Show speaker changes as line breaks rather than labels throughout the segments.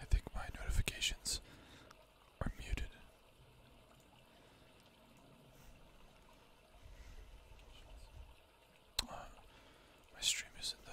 I think my notifications are muted. Uh, my stream isn't though.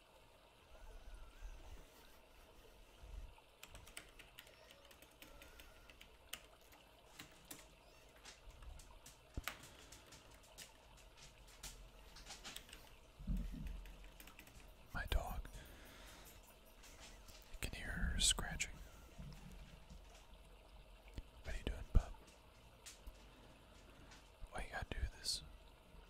My dog. can hear her scratching. What are you doing, pup? Why you gotta do this?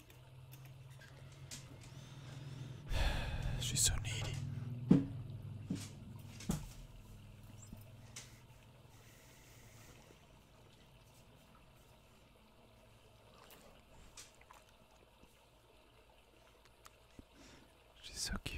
She's so needy. She's so cute.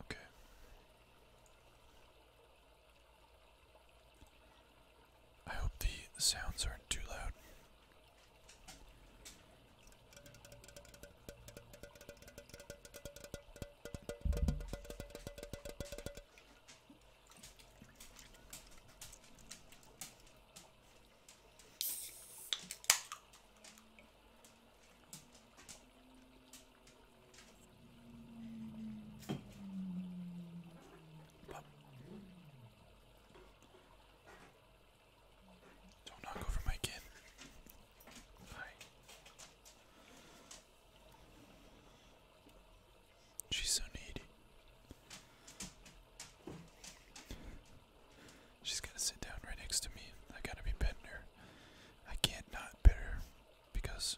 Okay. I hope the sounds aren't too loud. Don't knock over my kid. Hi. She's so needy. She's gonna sit down right next to me. I gotta be petting I can't not pet because,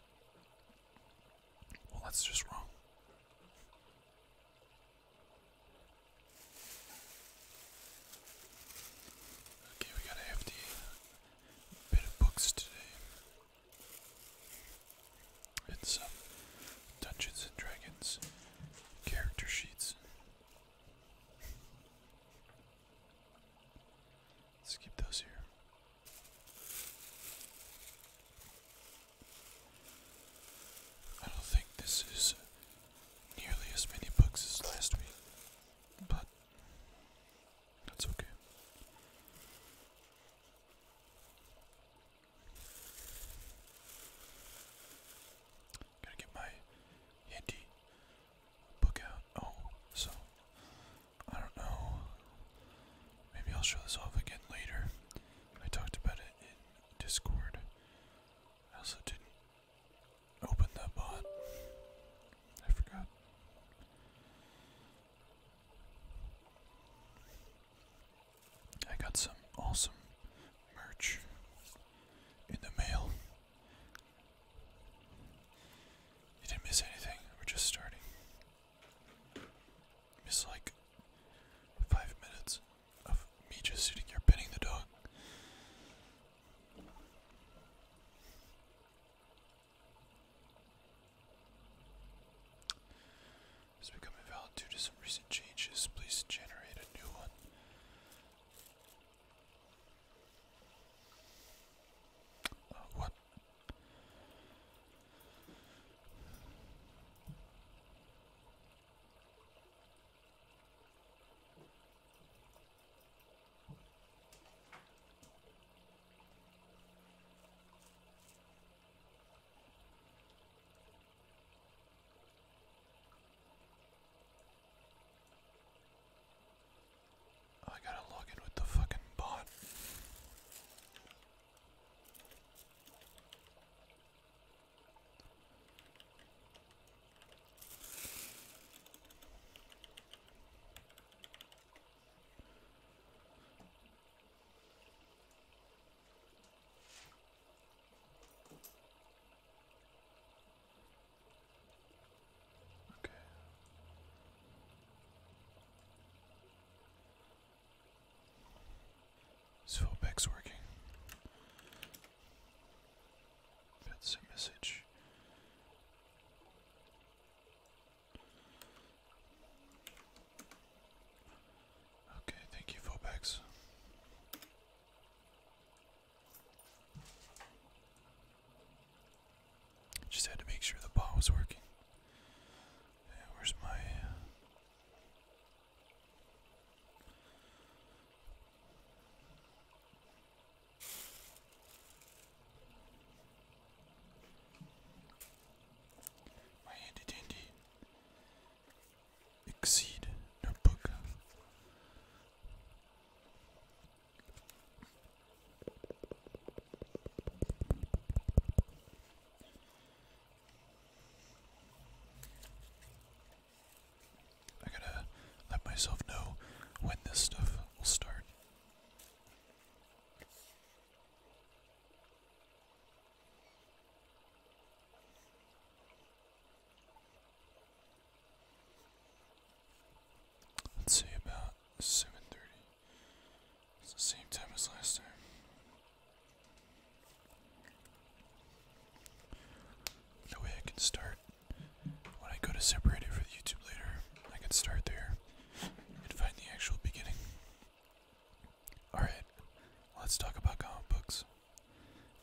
well, that's just wrong. Okay, we got a hefty bit of books today and um, Dungeons and Dragons character sheets. Let's keep those here. I don't think this is nearly as many books as last week, but that's okay. Gotta get my handy book out. Oh, so I don't know. Maybe I'll show this off again later. I talked about it in Discord. I also didn't open that bot. I forgot. I got some awesome merch in the mail. You didn't miss anything, we're just starting. Miss like five minutes of me just sitting here petting the dog. Has become invalid due to some recent changes. Please generate a new one. Uh, what? Oh, I gotta log in with the fucking bot. Okay. So back's working. That's a message. Okay, thank you, Fobex. Just had to make sure the ball was working. where's my. My handy dandy exceed notebook. I gotta let myself know when this stuff will start. Let's see about seven thirty. It's the same time as last time. No way I can start when I go to separate it for YouTube later. I can start there and find the actual beginning. Alright, let's talk about comic books.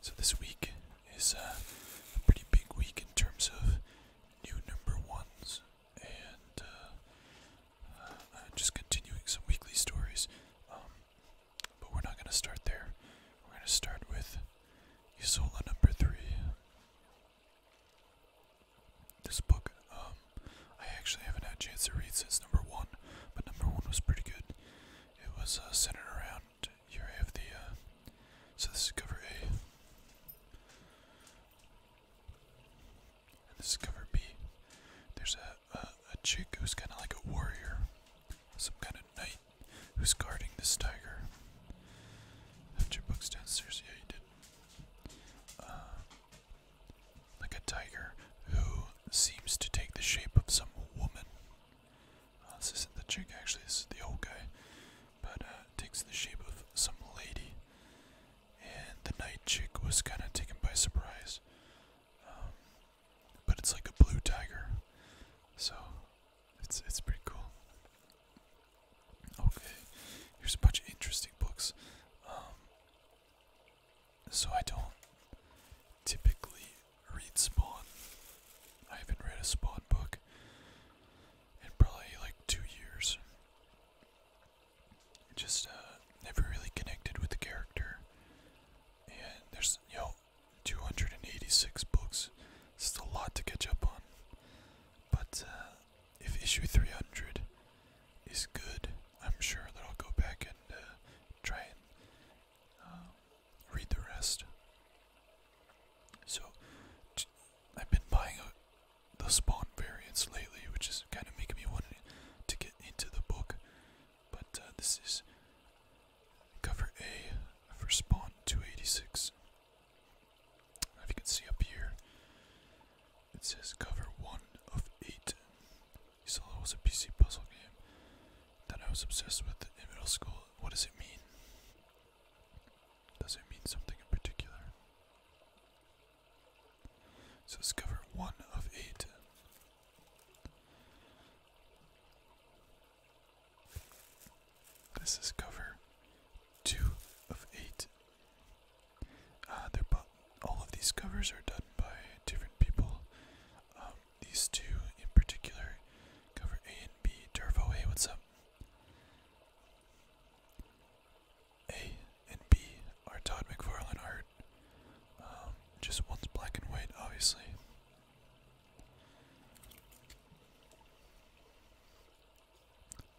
So, this week is uh, a pretty big week in terms of new number ones, and uh, uh, just continuing some weekly stories. Um, but we're not going to start there. We're going to start with Isola number three. This book um, I actually haven't had a chance to read since number one, but number one was pretty good. It was uh, centered around you of the. Uh, so this is cover A, and this is cover B. There's a a, a chick who's kind of like a warrior, some kind of knight who's guarding this tiger. Left your books downstairs. Yeah, you did. Uh, like a tiger who seems to take the shape of some woman. Uh, this isn't the chick, actually, this is the old guy, but uh, takes the shape of some lady. And the night chick was kind of taken by surprise. Um, but it's like a blue tiger, so it's it's pretty cool. Okay, here's a bunch of interesting books. Um, so I don't typically read Spawn. I haven't read a Spawn book in probably like two years. Just uh, never really connected with the character. And there's, you know, 286 books. It's just a lot to catch up on. But uh, if issue 300 is good, I'm sure that I'll go back and uh, try and uh, read the rest. So, I've been buying uh, the spawn variants lately, which is kind of making me want to get into the book. But this is cover A for spawn 286. If you can see up here, it says cover one of eight. You saw it was a PC puzzle game that I was obsessed with in middle school. What does it mean? Does it mean something in particular? So cover one of eight. This is cover two of eight. Uh, all of these covers are done by different people. Um, these two in particular, cover A and B. Turvo, what's up? A and B are Todd McFarlane art. Um, just one's black and white, obviously.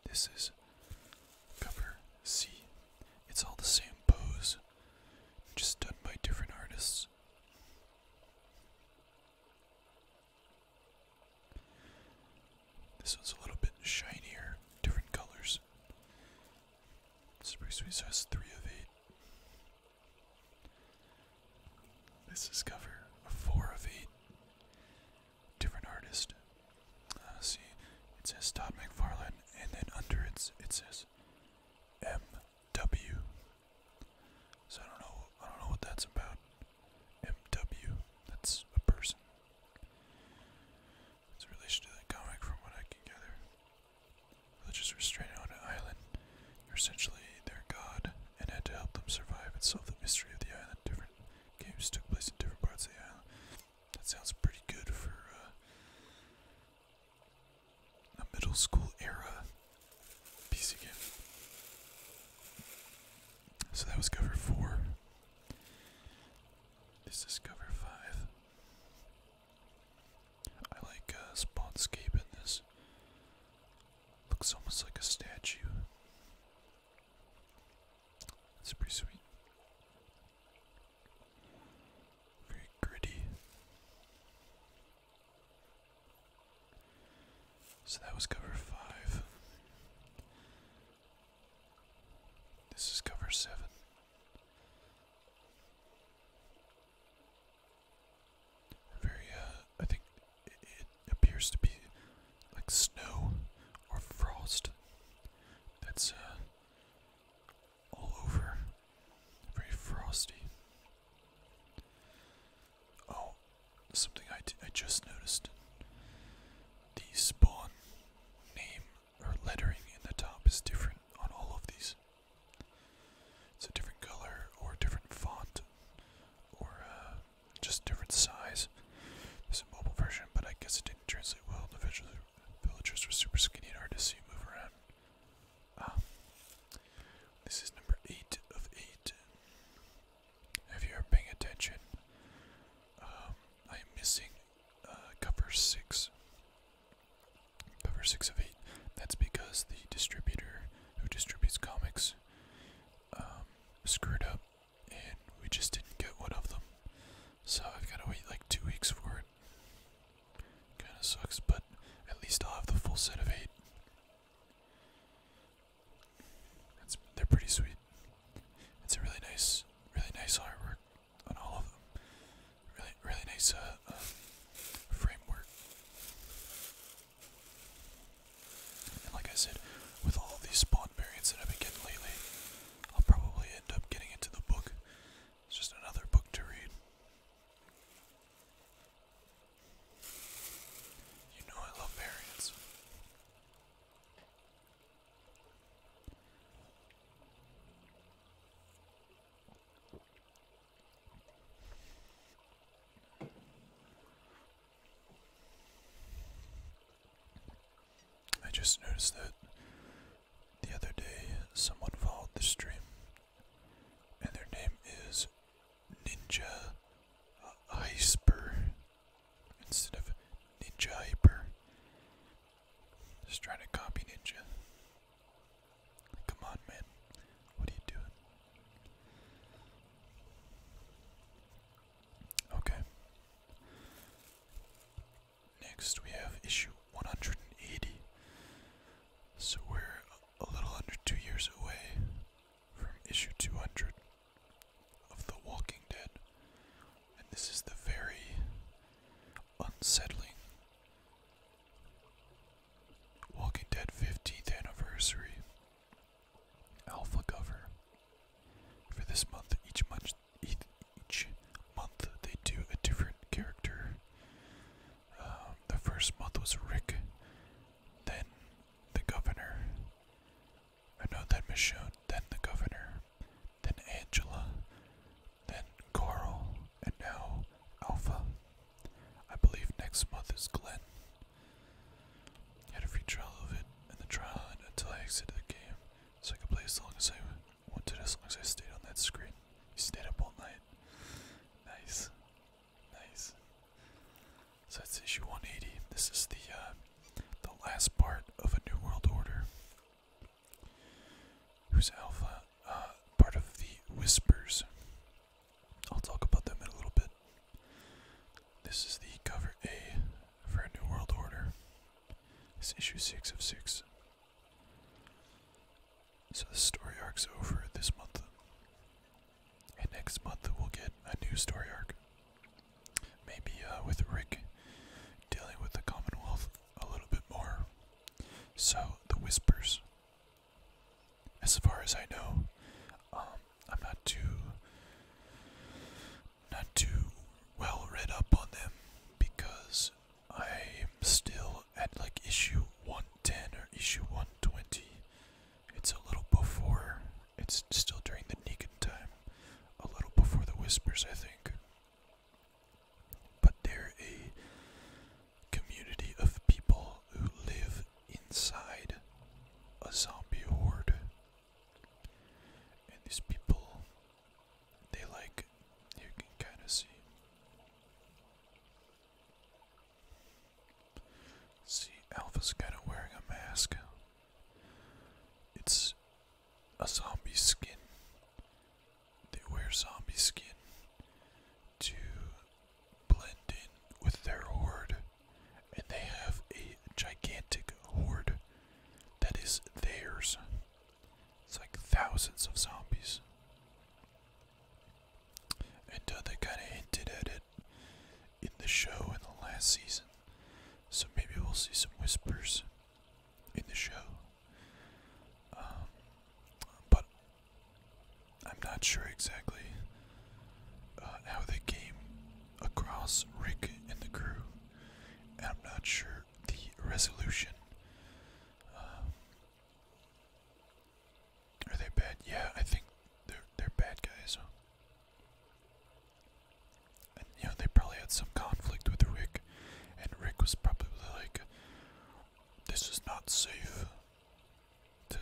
This is cover C. It's all the same pose just done by different artists. This one's a little bit shinier, different colors. This is pretty has three of eight. This is cover a four of eight. Different artist. Uh, see, it says Todd McFarlane, and then under it, it says MW. So I don't know I don't know what that's about. MW. That's a person. It's a relation to that comic from what I can gather. Religious restrained on an island. You're essentially their god and had to help them survive and solve the mystery of the island. Different games took place in different parts of the island. That sounds pretty good for uh, a middle school era PC game. So that was cover four. This is cover five. I like uh, Spawnscape in this. Looks almost like a statue. It's pretty sweet very gritty. So that was cover five. This is cover seven. Very, uh, I think it, appears to be like snow or frost. That's, uh, all over. Very frosty. Oh, something I, I just noticed. The spawn name or lettering in the top is different on all of these. It's a different color or a different font or uh, just different size. There's a mobile version, but I guess it didn't translate well. The villagers were super skinny and hard to see move around. Ah. this is number eight of eight. If you're paying attention, I'm um, missing uh, cover six. Cover six of eight. That's because the distributor who distributes comics um, screwed up, and we just didn't get one of them. So I've got to wait like two weeks for it. Kinda sucks, but at least I'll have the full set of eight. they're pretty sweet. It's a really nice, really nice artwork on all of them. Really, really nice uh, um, framework. And like I said, with all these spawn variants that I've been getting lately, I'll probably end up getting into the book. It's just another book to read. You know I love variants. I just noticed that the other day, someone followed the stream, and their name is Ninja Hyper instead of Ninja Hyper. Just trying to copy Ninja. Come on, man. What are you doing? Okay. Next, we have issue 180. So we're a little under two years away from issue 200 of The Walking Dead. And this is the very unsettling Walking Dead 15th anniversary alpha cover. For this month, each month, each month they do a different character the first month was Rick, then the governor. I know then Michonne, then the governor, then Angela, then Carl, and now Alpha. I believe next month is Glenn. I had a free trial of it and the trial until I exit the game, so I could play as long as I want. What did as long as I stayed on that screen? You stayed up all night. Nice. Nice. So that's issue 180. This is the uh, the last part of a New World Order. Who's Alpha? Uh, part of the Whispers. I'll talk about them in a little bit. This is the cover A for a New World Order. It's issue 6 of 6. So the story arc's over this month. And next month we'll get a new story arc. Maybe uh, with Rick dealing with the Commonwealth a little bit more. So the whispers. As far as I know, um, I'm not too, not too well read up on them because I'm still at like issue 110 or issue 120. It's a little before, it's still during the Negan time, a little before the Whispers, I think. But they're a community of people who live inside a zombie horde. And these people, they like, you can kind of see. See, Alpha's kind of wearing a mask. It's a zombie skin. They wear zombie skin to blend in with their horde, and they have a gigantic horde that is theirs. It's like thousands of zombies. And uh, they kind of hinted at it in the show in the last season. So maybe we'll see some whispers in the show. Um, but I'm not sure exactly uh, how they came across Rick and the crew. And I'm not sure the resolution. Um, are they bad? Yeah, I think they're they're bad guys. you know they probably had some conflict with Rick, and Rick was probably like, "This is not safe to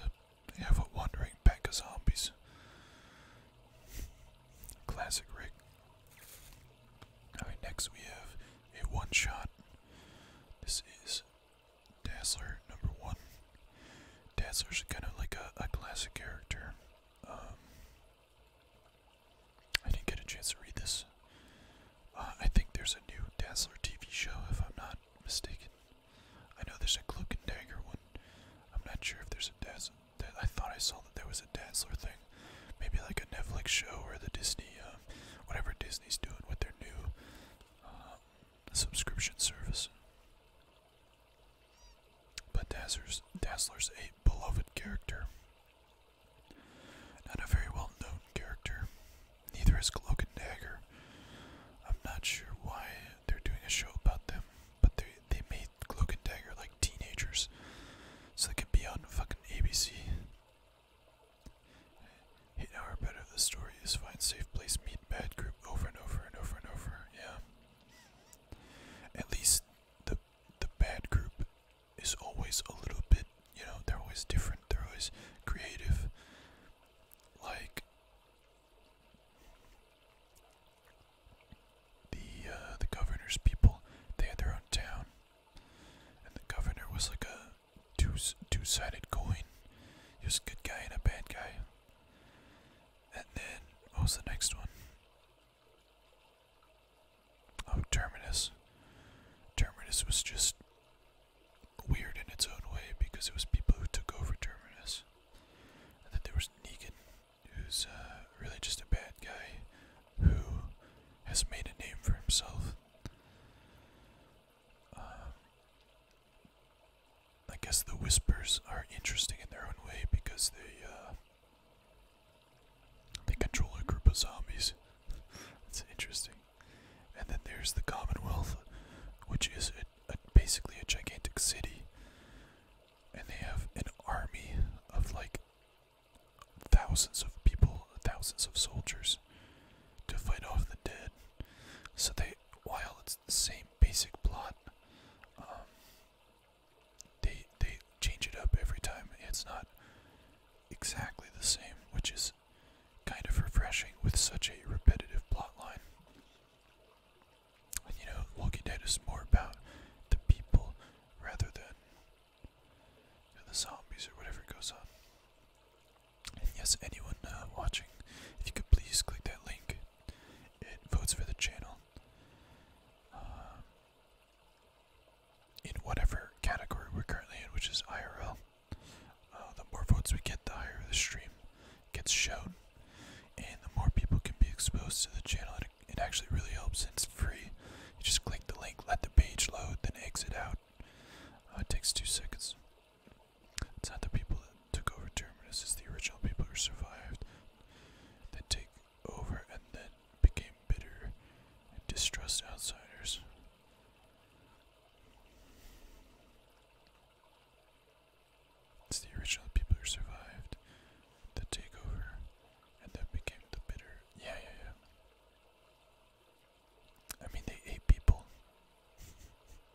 have a wandering pack of zombies." Classic Rick. All right, next we have a one-shot. This is Dazzler, number one. Dazzler's kind of like a, classic character. Um, I didn't get a chance to read this. Uh, I think there's a new Dazzler TV show, if I'm not mistaken. I know there's a Cloak and Dagger one. I'm not sure if there's a Dazzler. I thought I saw that there was a Dazzler thing. Maybe like a Netflix show or the Disney, uh, whatever Disney's doing with their new uh, subscription service. But Dazzler's, Dazzler's a beloved character. Not a very well known character. Neither is Cloak and Dagger. I'm not sure why they're doing a show about them, but they, they made Cloak and Dagger like teenagers. So they can be on fucking ABC. Hit our bit the story is find safe place, meet bad group over and over and over and over. Yeah. At least the the bad group is always a little bit, you know, they're always different, they're always creative. Like the uh, the governor's people, they had their own town, and the governor was like a two two-sided coin. just a good guy and a bad guy. And then what was the next one? Oh, Terminus. Terminus was just weird in its own way because it was people who took over Terminus. And then there was Negan, who's uh, really just a bad guy who has made a name for himself. Uh, I guess the whispers are interesting in their own way because they uh, they control a group of zombies. That's interesting. And then there's the Commonwealth, which is basically a gigantic city, and they have an army of like thousands of people thousands of soldiers to fight off the dead. So they, while it's the same basic plot, um, they they change it up every time. It's not exactly the same, which is kind of refreshing with such a repetitive plotline. And you know, Walking Dead is more about the people rather than the zombies or whatever goes on yes, anyone uh, watching, if you could please click that link, it votes for the channel. Uh, in whatever category we're currently in, which is IRL, uh, the more votes we get, the higher the stream gets shown, and the more people can be exposed to the channel. It, it actually really helps. and It's free. You just click the link, let the page load, then exit out. it takes two seconds. It's not the people that took over Terminus, it's the original people who survived that take over and then became bitter and distrust outsiders. It's the original people who survived the takeover and then became the bitter. Yeah, yeah, yeah. I mean, they ate people.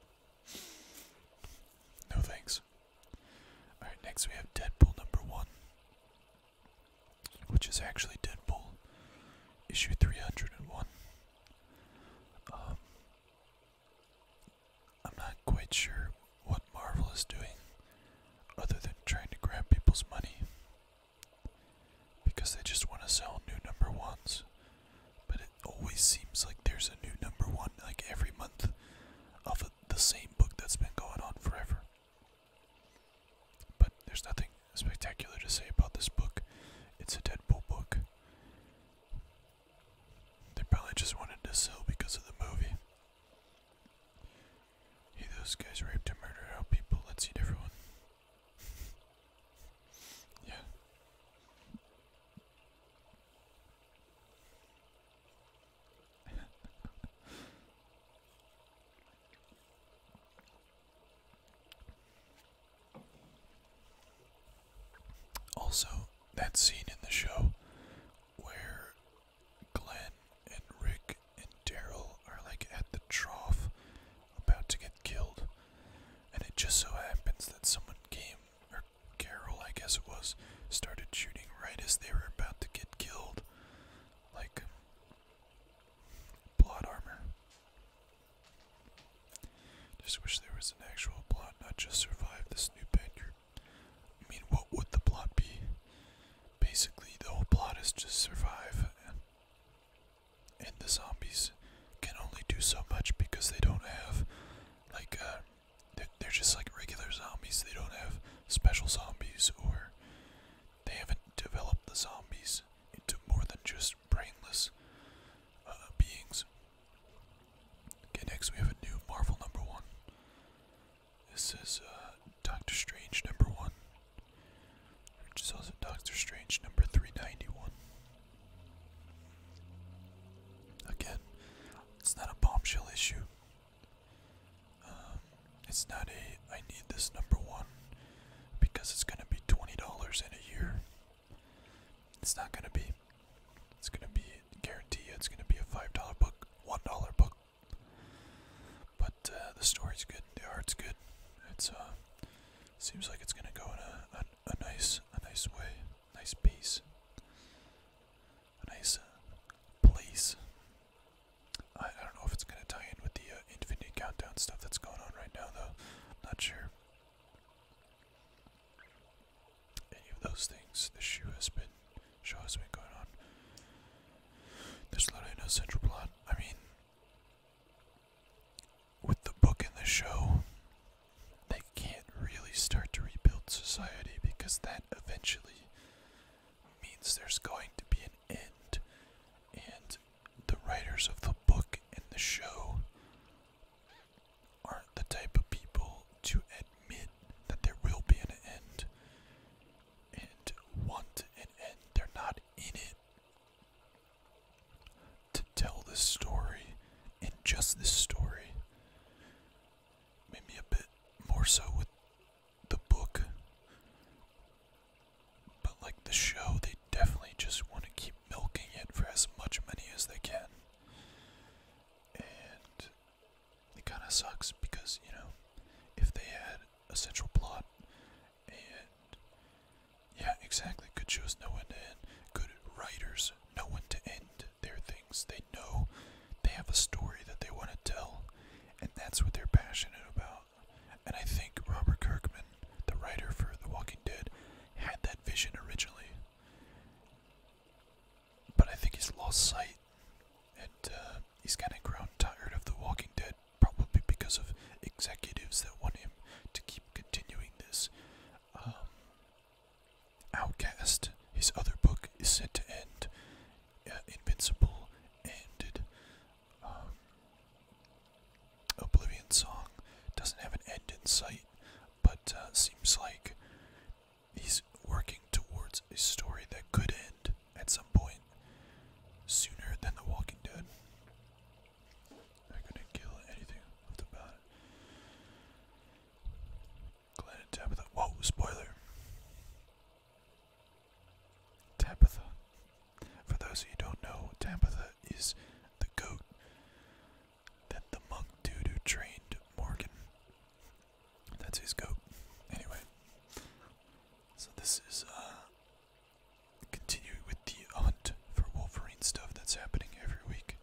no thanks. Alright, next we have Deadpool number one, which is actually Deadpool issue 301. Um, I'm not quite sure what Marvel is doing other than trying to grab people's money because they just want to sell new number ones. But it always seems like there's a new number one like every month of the same book that's been going on forever. But there's nothing spectacular to say about this book. It's a dead book. They probably just wanted to sell because of the movie. Hey, those guys raped and murdered out people. Let's eat everyone yeah. also, that scene in the show where Glenn and Rick and Daryl are like at the trough about to get killed, and it just so happens that someone came, or Carol, I guess it was, started shooting right as they were about to get killed. Like, blood um, armor. Just wish there was an actual plot, not just survive this new bender. I mean, what would the plot be? Basically, the whole plot is just survive and the zombies can only do so much because they don't have like uh, they're, just like regular zombies they don't have special zombies or they haven't developed the zombies into more than just brainless uh, beings okay next we have a new marvel number one this is uh, doctor strange number one which is also doctor strange number 391 Again, it's not a bombshell issue. Um, it's not a I need this number one because it's going to be $20 in a year. It's not going to be. It's going to be, guarantee it's going to be a $5 book, $1 book. But uh, the story's good, the art's good. It's uh, seems like it's going to go in a, a nice, a nice way, nice piece, a nice uh, place. I, I don't know if it's gonna tie in with the uh, Infinity Countdown stuff that's going on right now, though. not sure. Any of those things. The shoe has been, show has been going on. There's literally no central plot. I mean, with the book and the show, they can't really start to rebuild society because that eventually means there's going to be an end. And the writers of the book and the show aren't the type of people to admit that there will be an end and want an end. They're not in it to tell this story and just this story. Maybe a bit more so with the book. But like the show, they definitely just want to keep milking it for as much money as they can. And it kind of sucks because, you know, if they had a central plot and yeah, exactly. Good shows know when to end. Good writers know when to end their things. They know they have a story that they want to tell, and that's what they're passionate about. And I think Robert Kirkman, the writer for The Walking Dead, had that vision originally. But I think he's lost sight, and uh, he's kind of grown tired of The Walking Dead, probably because of executives that want him to keep continuing this. Um, Outcast, his other book, is set to end. Uh, Invincible ended. Um, Oblivion Song doesn't have an end in sight, but uh, seems like he's working towards a story that could end at some point sooner than The Walking Dead they gonna kill anything left about it. Glenn and Tabitha. Whoa, spoiler! Tabitha. For those who don't know, Tabitha is the goat that the monk dude who trained Morgan. That's his goat. Anyway. So this is uh continuing with the hunt for Wolverine stuff that's happening every week.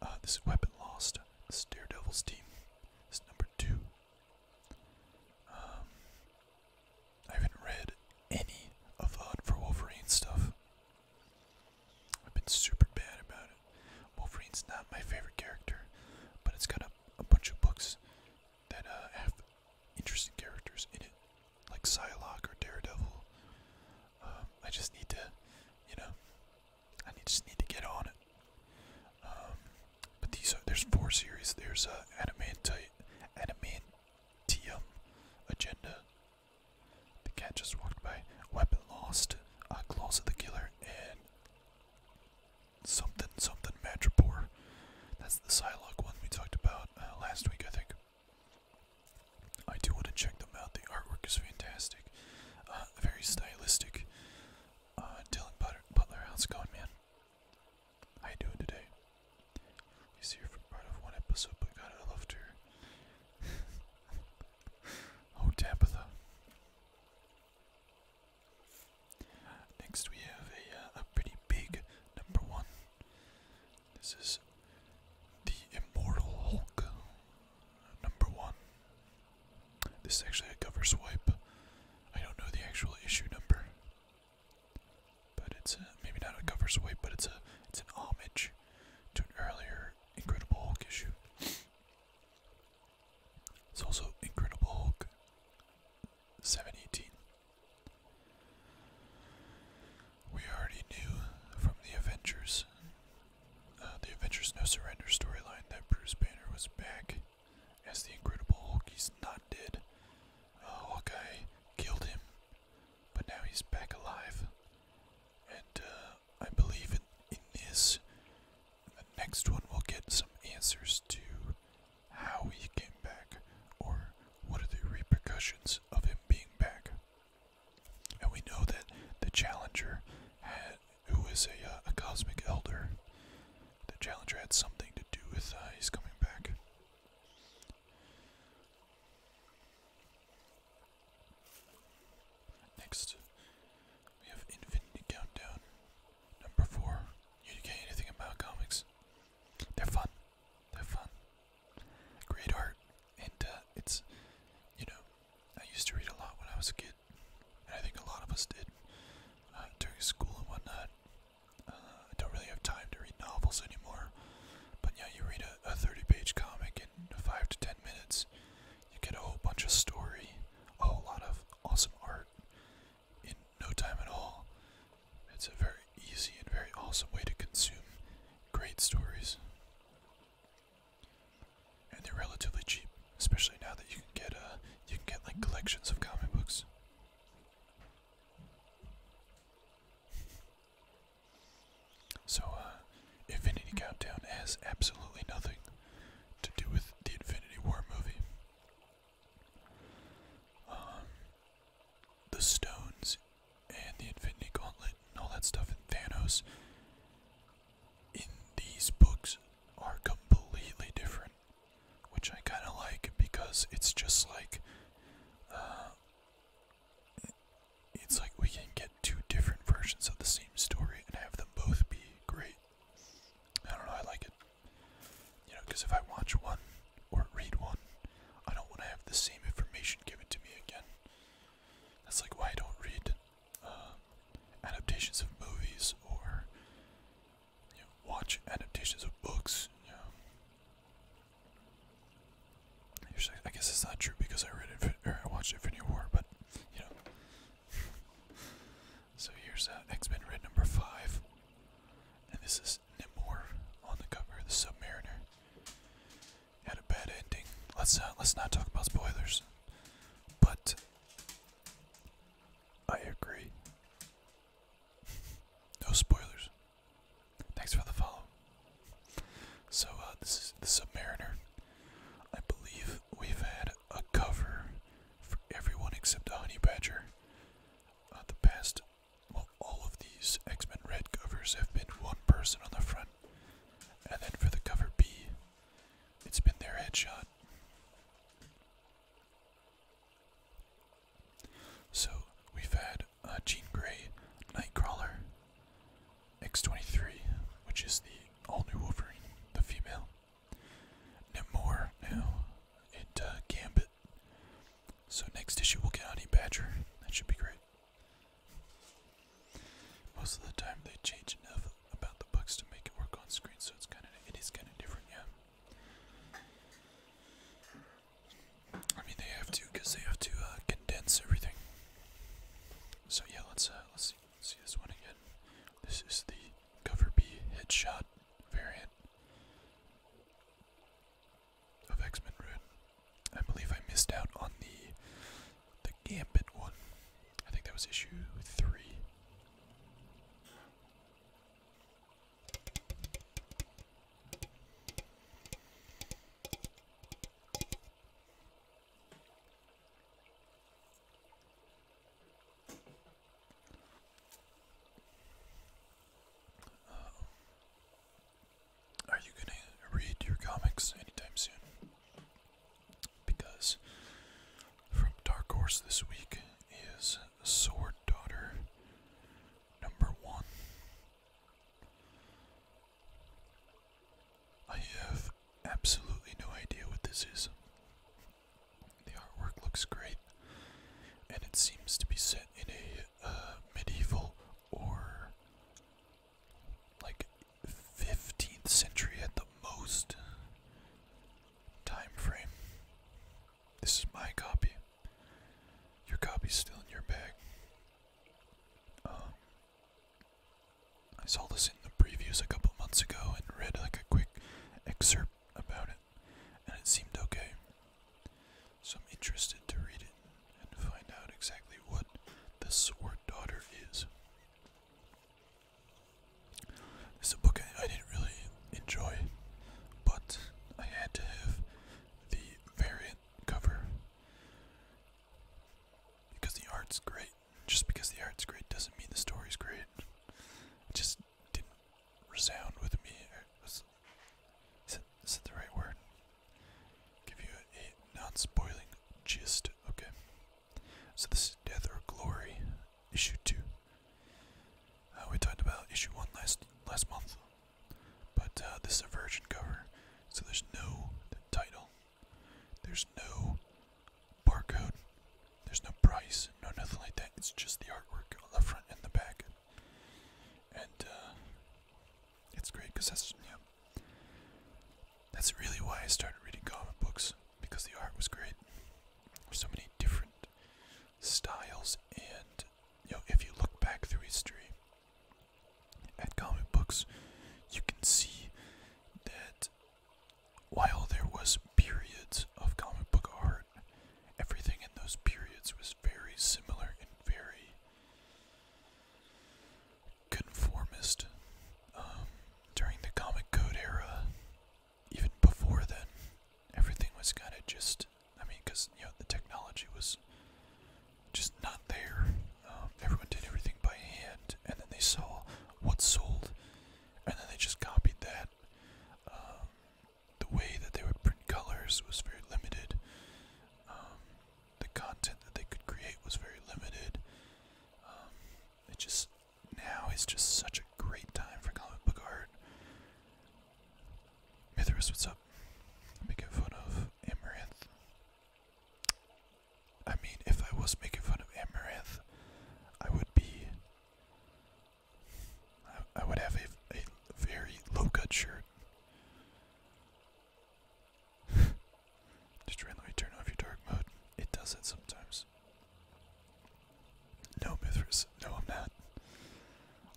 Uh, this is Weapon Lost. This Daredevil's team. This number two. Um, I haven't read any of the uh, Hunt for Wolverine stuff. I've been super bad about it. Wolverine's not my favorite character, but it's got a, bunch of books that uh, have interesting characters in it, like Psylocke or Daredevil. Um, I just need to, you know, I just need to get on it. Um, but these there's four series. There's uh, Adamanti Adamantium Agenda. The cat just walked by. Weapon Lost, uh, Claws of the Killer, and something something Madripoor. That's the Psylocke one we talked about uh, last week, I think. I do want to check them out. The artwork is fantastic, uh, very stylistic. Uh, Dylan Butler, how's it going, man? How you doing today? He's here for part of one episode, but I loved her. oh, Tabitha. Next, we have a, uh, a pretty big number one. This is the Immortal Hulk Number one. This is actually a cover swipe. I don't know the actual issue number, but it's a, maybe not a cover swipe, but it's a it's an homage to an earlier Incredible Hulk issue. It's also Incredible Hulk 718 we already knew from the Avengers, uh, the Avengers No Surrender storyline, that Bruce Banner was back as the Incredible Hulk. He's not dead. Uh, Hawkeye killed him, but now he's back alive. And uh, I believe in, in this, the next one will get some answers to how he came back or what are the repercussions of him being back. And we know that the Challenger, who is uh, a, cosmic elder, the Challenger had something to do with uh, He's coming back. Next, we have Infinity Countdown, number four. You get anything about comics? They're fun. They're fun. Great art, and uh, it's you know I used to read a lot when I was a kid, and I think a lot of us did uh, during school and whatnot. Uh, I don't really have time to read novels anymore, but yeah, you read a 30 page comic in 5 to 10 minutes, you get a whole bunch of story, a whole lot of awesome art in no time at all. It's a very easy and very awesome way to consume great stories and they're relatively cheap, especially now that you can get uh you can get like collections of comic books. So, uh, Infinity Countdown has absolutely nothing to do with the Infinity War movie. Um, the stones and the Infinity Gauntlet and all that stuff in Thanos in these books are completely different, which I kind of like because it's just like, uh, it's like we can get two different versions of the same story and have them both be great. I don't know, I like it. You know, because if I watch one or read one, I don't want to have the same information given to me again. That's like why I don't read um, adaptations of movies or watch adaptations of books. I guess it's not true because I read it or I watched Infinity War, but you know. so here's uh, X Men Red number five, and this is Nimor on the cover, of the Submariner had a bad ending. Let's not, uh, let's not talk about spoilers. But I agree. no spoilers. Thanks for the follow. So uh, this is the Submariner. I believe we've had a cover for everyone except a honey badger. Uh, the past, all of these X Men Red covers have been one person on the front, and then for the cover B, it's been their headshot. So we've had uh, Jean Grey, Nightcrawler, X23, which is the all new Wolverine, the female. Namor now, and uh, Gambit. So next issue we'll get Honey Badger. That should be great. Most of the time they change enough about the books to make it work on screen, so it's kind of it is kind of different, yeah. I mean they have to because they have to uh, condense everything. So yeah, let's uh, let's see this one again. This is the cover B headshot variant of X Men Red. I believe I missed out on the the Gambit one. I think that was issue three. are you gonna read your comics anytime soon? because from Dark Horse this week is Sword Daughter number one. I have absolutely no idea what this is. The artwork looks great, and it seems to be set in a uh, medieval or like 15th century at the most time frame. This is my copy. Your copy's still in your bag. Um, I saw this in the previews a couple months ago and read like a quick excerpt about it, and it seemed okay. So I'm interested to read it and find out exactly what the Sword Daughter is. This a book I, I didn't really enjoy, but I had to have the variant cover because the art's great. Just because the art's great doesn't mean the story's great. It just didn't resound with me. Was, is, it, is it the right word? Give you a non spoiling gist. Okay. So this is Death or Glory, issue two. Uh, we talked about issue one last last month, but uh, this is a Virgin cover, so there's no title, there's no barcode, there's no price, no nothing like that. It's just the artwork on the front and the back, and uh, it's great because that's yeah. That's really why I started reading comic books because the art was great. There's so many different styles, and you know, if you look back through history at comic books, you can see that while there was periods of comic book art, everything in those periods was very similar and very conformist um, during the comic code era. Even before then, everything was kind of just, I mean, because, you know, the technology was just not there. Um, everyone did everything by hand, and then they saw what sold, and then they just copied that. Um, the way that they would print colors was very limited. the content that they could create was very limited. it just now is just such a great time for comic book art. Mithras, what's up? Making fun of Amaranth. I mean, if I was making fun of Amaranth, I would be. I, would have a, a very low cut shirt. Just randomly turn off your dark mode. It does it sometimes. No, Mithras. No, I'm not.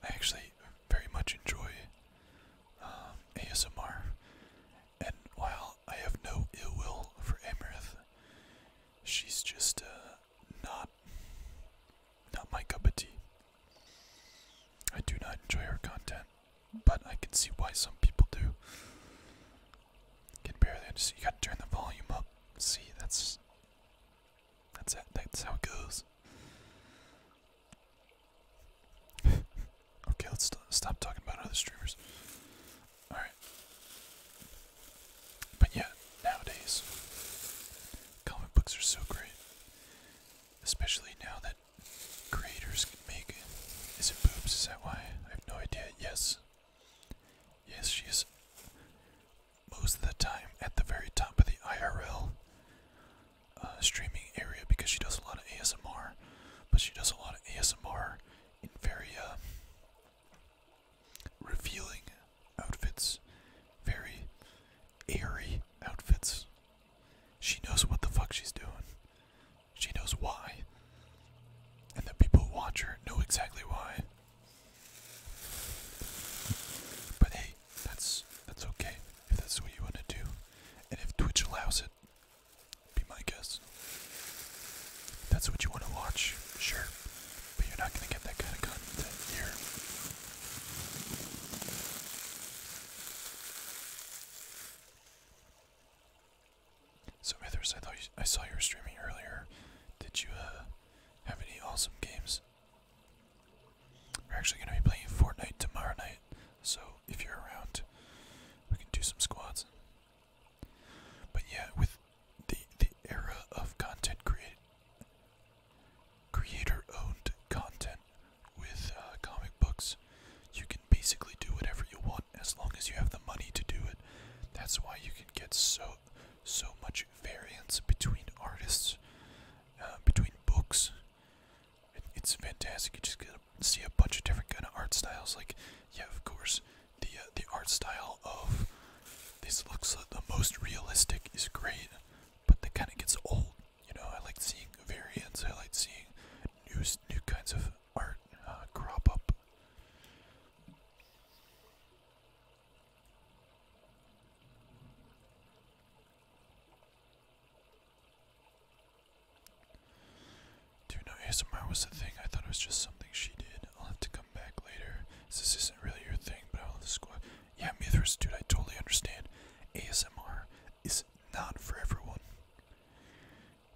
I actually very much enjoy um, ASMR, and while I have no ill will for Amarith, she's just uh, not not my cup of tea. I do not enjoy her content, but I can see why some people do. Can barely You gotta turn the volume up. See, that's that's it. That's how it goes. okay, let's stop talking about other streamers. All right. But yeah, nowadays comic books are so great, especially now that creators can make. it. Is it boobs? Is that why? I have no idea. Yes, Yes, she is most of the time at the very top of the IRL uh, streaming area because she does a lot of ASMR, but she does a lot of ASMR in very uh, revealing outfits, very airy outfits. She knows what the fuck she's doing. She knows why. And the people who watch her know exactly why. But hey, that's that's okay if that's what you want to do. And if Twitch allows it, be my guess. that's what you want to watch, sure. But you're not gonna get that kind of content here. So Mithras, I thought I saw you were streaming earlier. Did you uh, have any awesome games? We're actually going to be playing Fortnite tomorrow night, so if you're around, we can do some squads. But yeah, with the the era of content creator owned content with uh, comic books, you can basically do whatever you want as long as you have the money to do it that's why you can get so so much variance between artists, uh, between books. it's fantastic. You just get to see a bunch of different kind of art styles. Like, yeah, of course, the uh, the art style of this looks uh, the most realistic is great, but that kind of gets old. You know, I like seeing variants. I like seeing new new kinds of art uh, crop up. Do you ASMR was a thing? I thought it was just something she did. I'll have to come back later. This isn't really your thing, but I love the squad. Yeah, Mithras, dude, I totally understand. ASMR is not for everyone.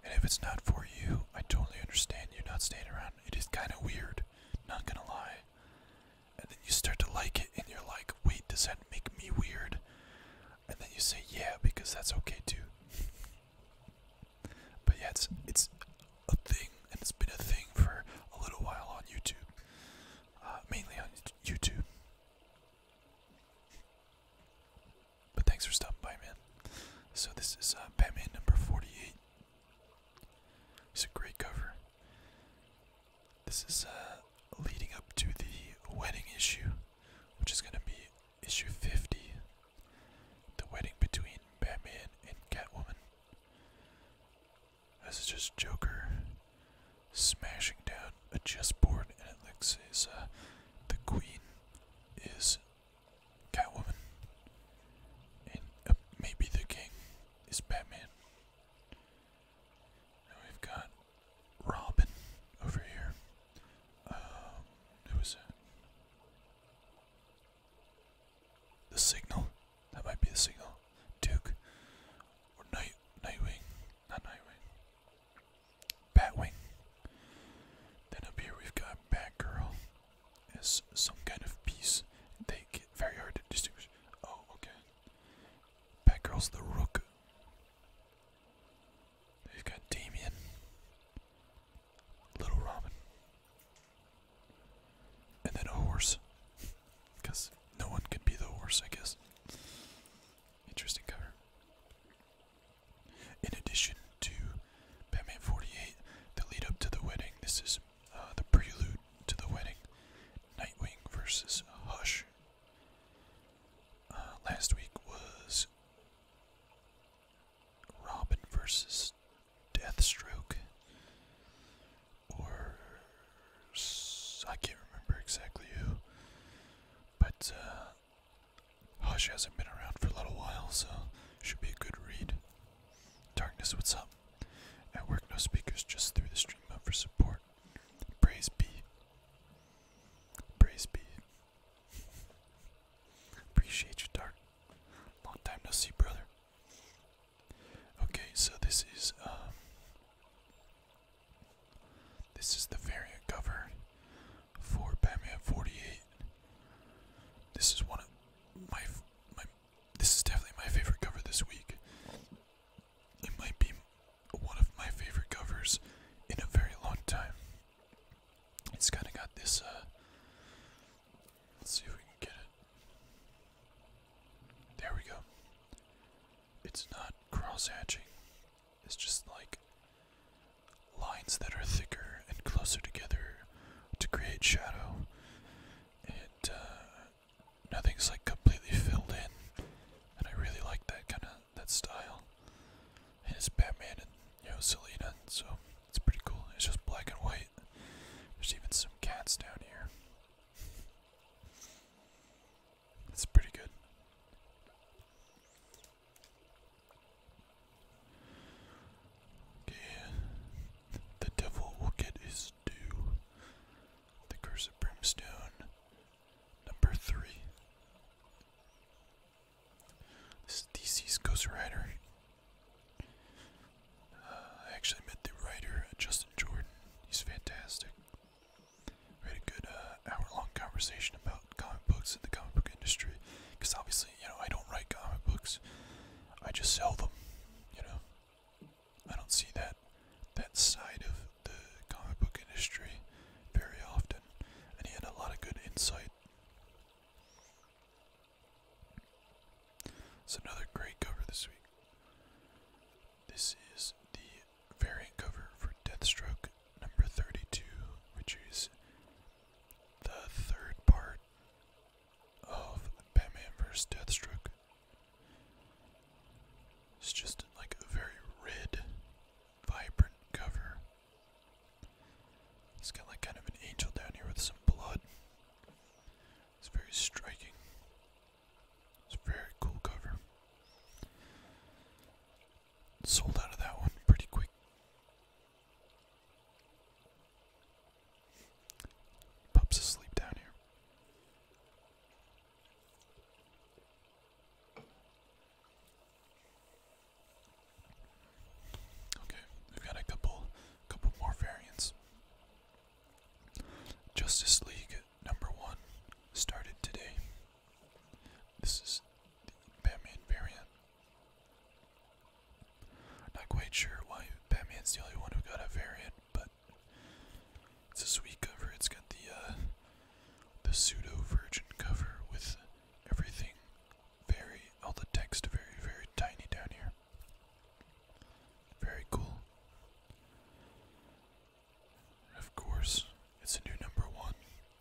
And if it's not for you, I totally understand you not staying around. It is kind of weird, not gonna lie. And then you start to like it, and you're like, wait, does that make me weird? And then you say, yeah, because that's okay too. but yeah, it's, it's a thing, and it's been a thing for a little while on YouTube. Uh, mainly on YouTube. But thanks for stopping by, man. So this is uh, Batman number 48. It's a great cover. This is uh, leading up to the wedding issue, which is going to be issue 50 The Wedding Between Batman and Catwoman. This is just Joker smashing down a chessboard, and it looks as uh, the Queen is Catwoman, and uh, maybe the king is Batman. Now we've got Robin over here. Um, who is that? The Signal. That might be the Signal. Duke or Night Nightwing, not Nightwing. Batwing. Then up here we've got Batgirl is some kind of piece. They get very hard to distinguish. Oh, okay. Batgirl's the Rook. They've got Damien, Little Robin, and then a horse. Because no one could be the horse, I guess. Interesting cover. In addition to Batman 48, the lead up to the wedding. This is uh, the prelude to the wedding. Nightwing versus Hush. Uh, last week was Robin versus Deathstroke. Or. I can't remember exactly who. But, uh, Hush hasn't been around for a little while, so should be a good read. Darkness, what's up? At work, no speakers, just through the stream up for support. Praise be. Praise be. Appreciate you, Dark. Long time no see, brother. Okay, so this is um this is the variant cover for Batman 48. This is one of my this is definitely my favorite cover this week. It might be one of my favorite covers in a very long time. It's kind of got this. Uh, let's see if we can get it. There we go. It's not cross hatching. It's just like lines that are thicker and closer together to create shadow. It uh, nothing's like completely filled in, and I really like that kind of that style. And it's Batman and you know Selena, so it's pretty cool. It's just black and white. There's even some cats down here. It's pretty good. Okay, the devil will get his due. The curse of brimstone, number three. This is DC's Ghost Rider. Uh, I actually met the writer, uh, Justin Jordan. He's fantastic. We had a good uh, hour-long conversation about comic books and the comic book industry, because obviously, you know, I don't write comic books, I just sell them, you know. I don't see that that side of the comic book industry very often, and he had a lot of good insight. It's another great cover this week. This is the variant cover for Deathstroke number 32, which is the third part of Batman vs. Deathstroke. It's just like a very red, vibrant cover. It's got like kind of an angel down here with some blood. It's very striking. It's a very cool cover. Sold out of that one pretty quick. Pup's asleep down here. Okay, we've got a couple couple more variants. Justice League number one started today. This is the Batman variant. Not quite sure why Batman's the only one who got a variant, but it's a sweet cover. It's got the uh, the pseudo virgin cover with everything very all the text very very tiny down here. Very cool. Of course, it's a new number one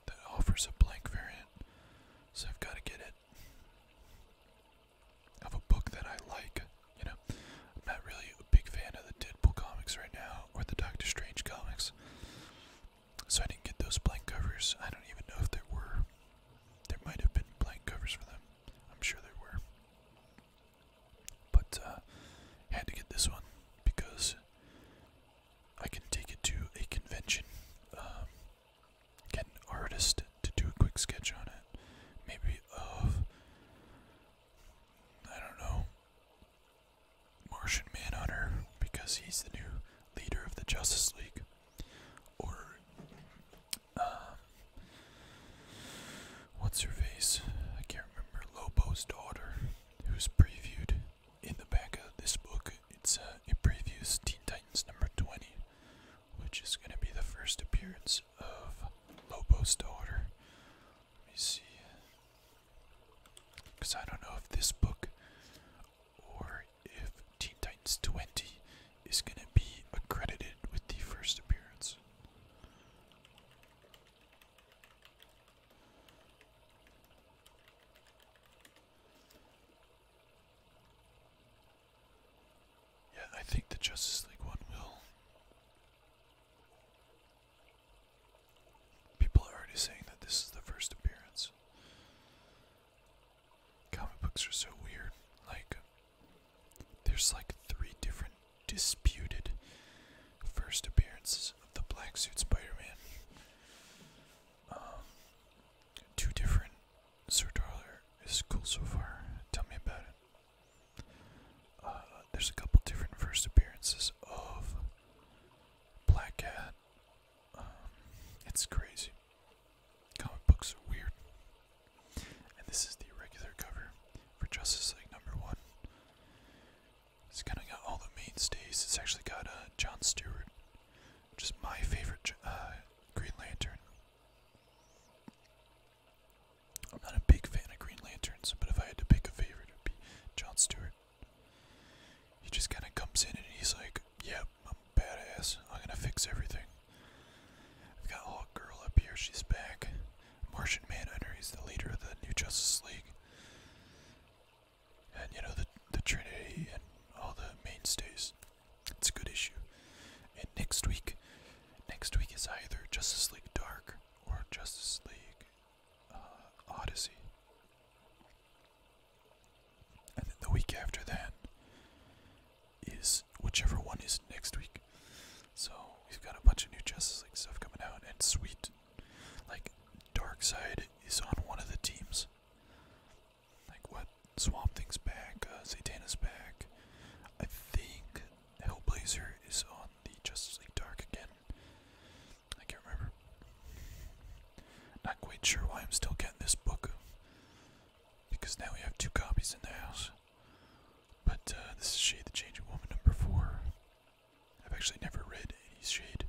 that offers a blank variant, so I've got to get it of a book that I like. You know, I'm not really a big fan of the Deadpool comics right now or the Doctor Strange comics. So I didn't get those blank covers. I don't even know if there were. There might have been blank covers for them. I'm sure there were. But uh, I had to get this one because I can take it to a convention. Um, get an artist to do a quick sketch on it. Maybe of, I don't know, Martian Manhunter, because he's the new leader of the Justice League. Or, um, what's her face? I can't remember. Lobo's daughter, who's previewed in the back of this book. It's a uh, It previews Teen Titans number 20, which is going to be the first appearance of Lobo's daughter. Let me see. Because I don't know if this book or if Teen Titans 20 is going to be accredited with the first appearance. Yeah, I think the Justice League one will. People are already saying that this is the first appearance. Comic books are so weird. Like, there's like three different disputed first appearances of the Black Suit Spider Man. Um, two different. Sir Darler is cool so far. Tell me about it. Uh, there's a couple different first appearances of Black Cat. Um, it's crazy. Comic books are weird. And this is the regular cover for Justice League number one. It's kind of got all the mainstays. It's actually got uh, John Stewart, which is my favorite uh, Green Lantern. I'm not a big fan of Green Lanterns, but if I had to pick a favorite, it would be John Stewart. He just kind of comes in and he's like, Yep, I'm a badass. I'm gonna fix everything. I've got Hawk up here, she's back. Martian Manhunter, he's the leader of the New Justice League. And you know, the, the Trinity and all the mainstays. It's a good issue. And next week, next week is either Justice League Dark or Justice League uh, Odyssey. And then the week after that is whichever one is next week. So we've got a bunch of new Justice League stuff coming out, and sweet, like Dark Side is on one of the teams. Like what? Swamp Thing's back, uh, Zatanna's back. I think Hellblazer is on the Justice League Dark again. I can't remember. Not quite sure why I'm still getting this book. Because now we have two copies in the house. But uh, this is Shade the Changing Woman number four. I've actually never read any Shade.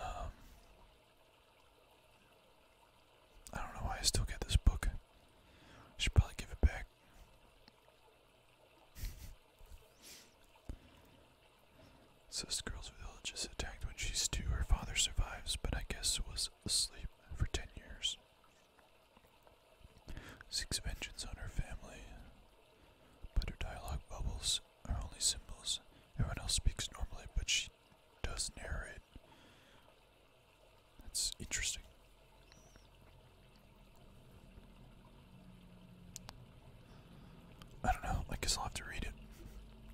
Um, I don't know why I still get this book. I should probably give it back. Says girl's village is attacked when she's two. Her father survives, but I guess was asleep for ten years. Seeks vengeance on her family, but her dialogue bubbles are only symbols. Everyone else speaks normally, but she does narrate. That's interesting. I don't know, I guess I'll have to read it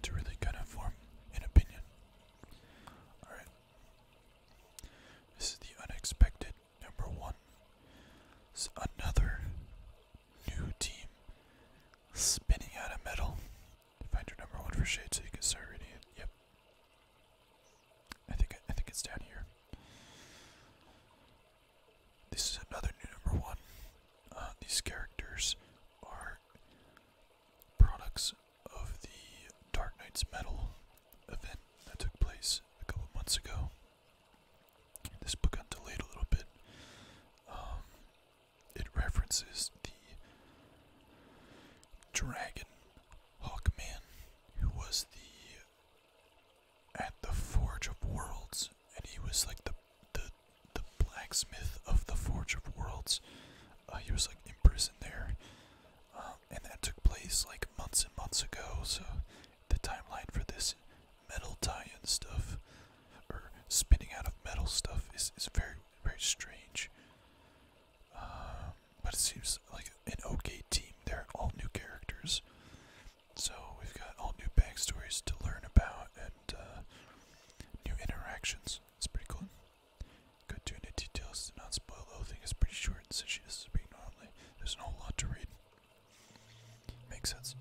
to really kind of form an opinion. Alright. This is the unexpected number one. It's another new team spinning out of metal. Find your number one for shade you can start reading Yep. I think I think it's down here. This is another new number one. Uh, these characters are products of the Dark Knight's Metal event that took place a couple months ago. This book got delayed a little bit. Um, it references the dragon Hawkman, who was the at the Forge of Worlds, and he was like the the the blacksmith of the Forge of Worlds. Uh, he was like imprisoned there, um, and that took place like months and months ago. So the timeline for this metal tie-in stuff or spinning out of metal stuff is is very very strange. Um, but it seems like an okay team. They're all new characters, so we've got all new backstories to learn about and uh, new interactions. It's pretty cool. Go to into details to not spoil the It's pretty short since she does speak normally. There's not a lot to read. Makes sense.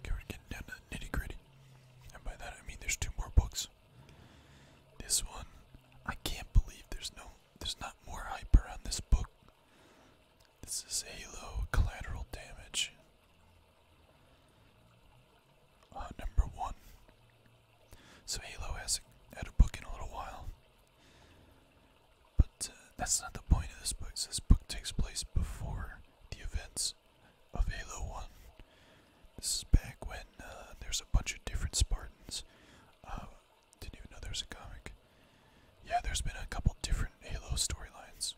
Okay, we're getting down to nitty gritty. And by that I mean there's two more books. This one I can't believe there's no there's not more hyper on this book. This is Halo Collateral Damage. Uh, number one. So Halo has had a book in a little while. But uh, that's not the point of this book. this book takes place before the events of Halo 1. This is back when uh, there's a bunch of different Spartans. Uh, didn't even know there's a comic. Yeah, there's been a couple different Halo storylines.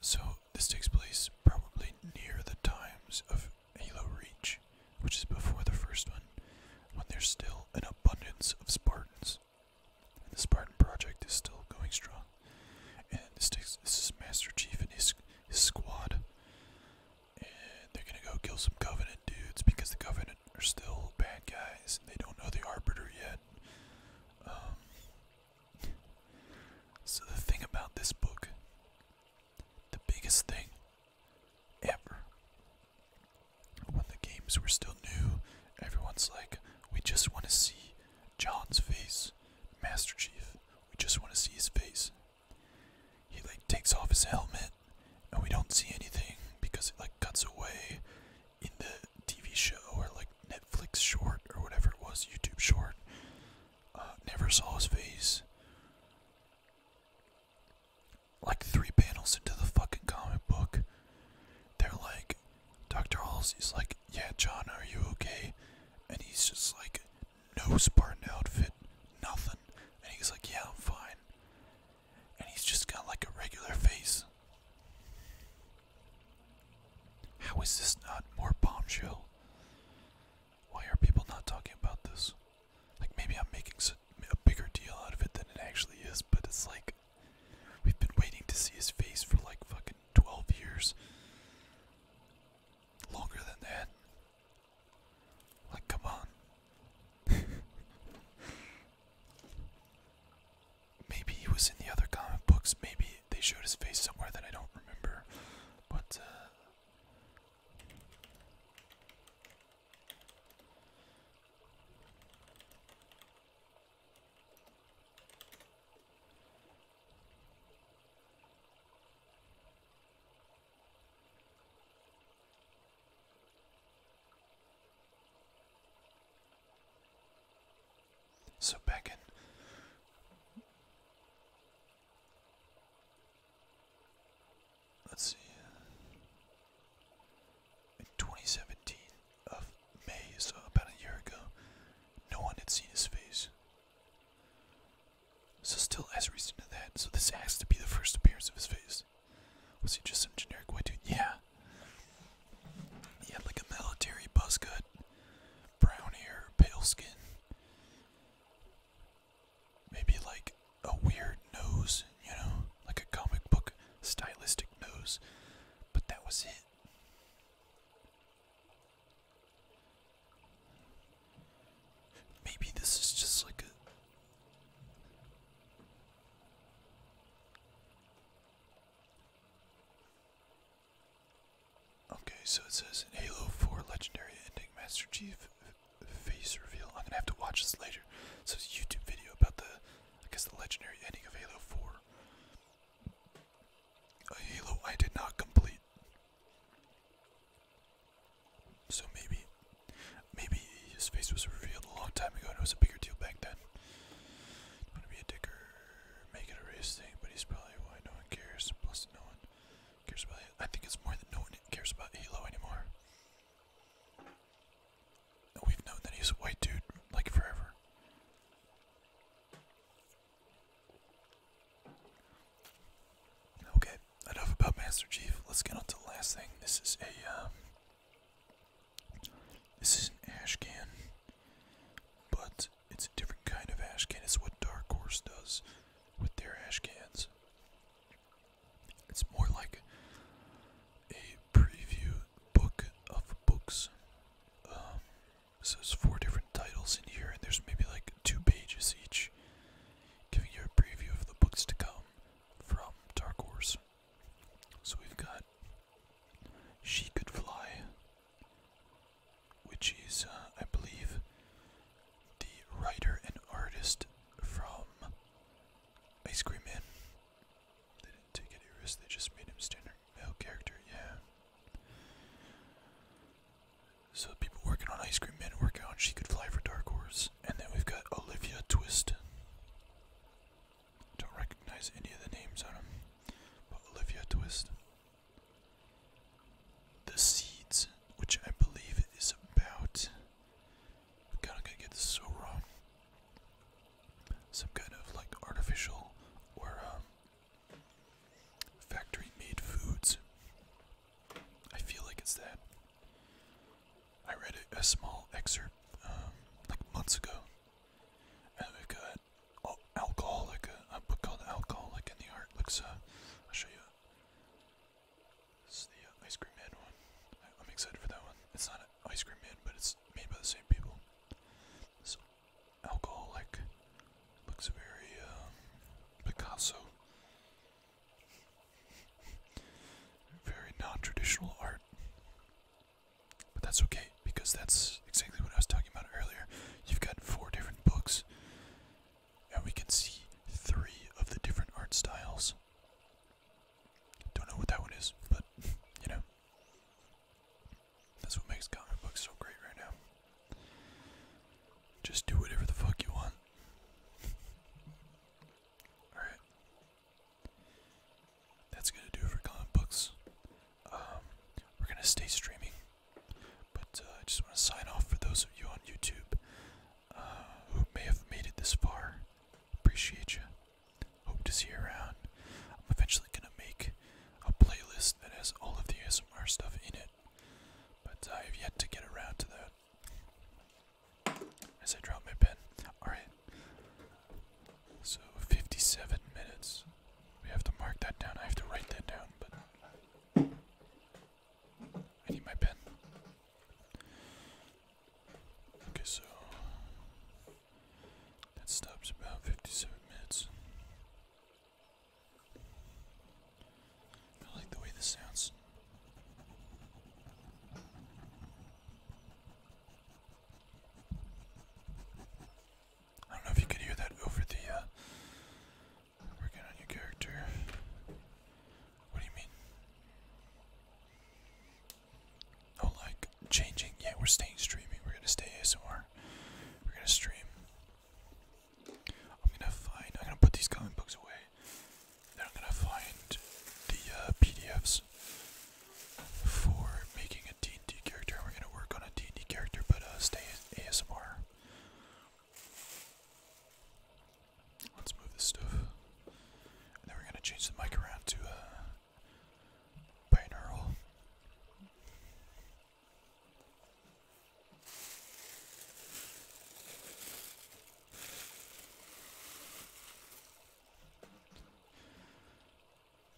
So this takes place probably near the times of Halo Reach, which is before the first one, when there's still an abundance of Spartans. And the Spartan project is still going strong. And this this is Master Chief and his his squad and they're gonna go kill some Covenant dudes because the Covenant are still bad guys and they don't know the Arbiter yet. Um, so, the thing about this book, the biggest thing ever, when the games were still new, everyone's like, we just want to see John's face, Master Chief. We just want to see his face. He like takes off his helmet and we don't see anything because it like cuts away in the TV show or like Netflix short or whatever it was, YouTube short. Uh, never saw his face. Like three panels into the fucking comic book, they're like, Dr. Halsey's like, Yeah, John, are you okay? And he's just like, no Spartan outfit, nothing. And he's like, yeah, I'm fine. And he's just got like a regular face. How is this not more bombshell? Why are people not talking about this? Like, maybe I'm making a bigger deal out of it than it actually is, but it's like, we've been waiting to see his face for like fucking 12 years. Longer than that. Like, come on. maybe he was in the other comic books. Maybe they showed his face somewhere that I don't remember. But, uh, so back in let's see uh, in 2017 of May, so about a year ago, no one had seen his face. So still has reason to that, so this has to be the first appearance of his face. Was he just some generic white dude? Yeah. He had like a military buzz cut, brown hair, pale skin. Maybe like a weird nose, you know, like a comic book stylistic nose. But that was it. Maybe this is just like a. Okay, so it says in Halo 4 Legendary Ending Master Chief face reveal. I'm gonna have to watch this later. So YouTube video about the, I guess, the legendary ending of Halo 4. Halo I did not complete. So maybe, maybe his face was revealed a long time ago and it was a bigger deal back then. gonna be a dicker, make it a race thing, but he's probably why no one cares. Plus, no one cares about I think it's more that no one cares about Halo anymore. We've known that he's a white dude like forever. Okay, enough about Master Chief. Let's get on to the last thing. This is a, um, this is an ash can, but it's a different kind of ash can. It's what Dark Horse does with their ash cans. It's more like a preview book of books. Um, so there's four different titles in here, and there's maybe like two pages each giving you a preview of the books to come from Dark Horse. So we've got She Could Fly, which is, uh, I believe, the writer and artist from Ice Cream Man. They didn't take any risks, they just made him standard male character, yeah. So people working on Ice Cream Man work on she could fly for Dark Horse. And then we've got Olivia Twist. Don't recognize any of the names on them, but Olivia Twist. The Seeds, which I believe is about. God, i gonna get this so wrong. Some kind of like artificial or um, factory made foods I feel like it's that. I read a, small excerpt um, like months ago, and we've got oh, alcoholic, a, book called Alcoholic in the Art. Looks, uh, I'll show you. This is the uh, Ice Cream Man one. I, am excited for that one. It's not an Ice Cream Man, but it's made by the same people. So, Alcoholic looks very uh, Picasso. Very non traditional art. But that's okay because that's exactly what I was talking about earlier. You've got four different books, and we can see three of the different art styles. Don't know what that one is, but you know. That's what makes comic books so great right now. Just do whatever the fuck you want. Alright. That's gonna do for comic books. Um, we're gonna stay streaming. But uh, I just want to sign off for those of you on YouTube uh, who may have made it this far. Appreciate you. Hope to see you around. I'm eventually gonna make a playlist that has all of the ASMR stuff in it, but I've yet to get around to that. As I drop my pen. Alright. So 57 minutes. We have to mark that down. I have to write that down, but I need my pen. Okay, so that stops about 57 minutes. I like the way this sounds. I don't know if you could hear that over the uh, working on your character. What do you mean? Oh, like changing. Yeah, we're staying streaming. We're gonna stay ASMR. We're gonna stream. I'm gonna find. I'm gonna put these comic books away. Then I'm gonna find the uh, PDFs for making a D&D character. We're gonna work on a D&D character, but uh, stay ASMR. Let's move this stuff. then we're gonna change the mic around to uh, binaural.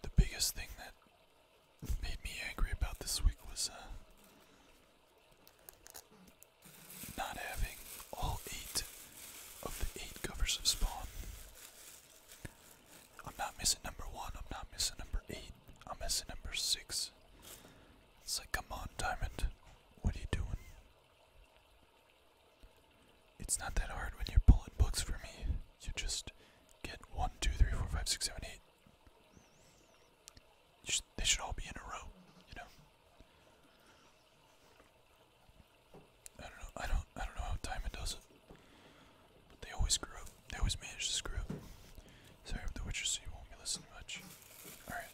The biggest thing that made me angry about this week was uh, not having all eight of the eight covers of Spawn. I'm not missing number one, I'm not missing number eight, I'm missing number six. It's like, come on, Diamond. What are you doing? It's not that hard when you're pulling books for me. You just get one, two, three, four, five, six, seven, eight. Just, they should all be in a row, you know. I don't know. I don't. I don't know how time does it. But they always screw up. They always manage to screw up. Sorry, the Witcher, so you won't be listening much. All right.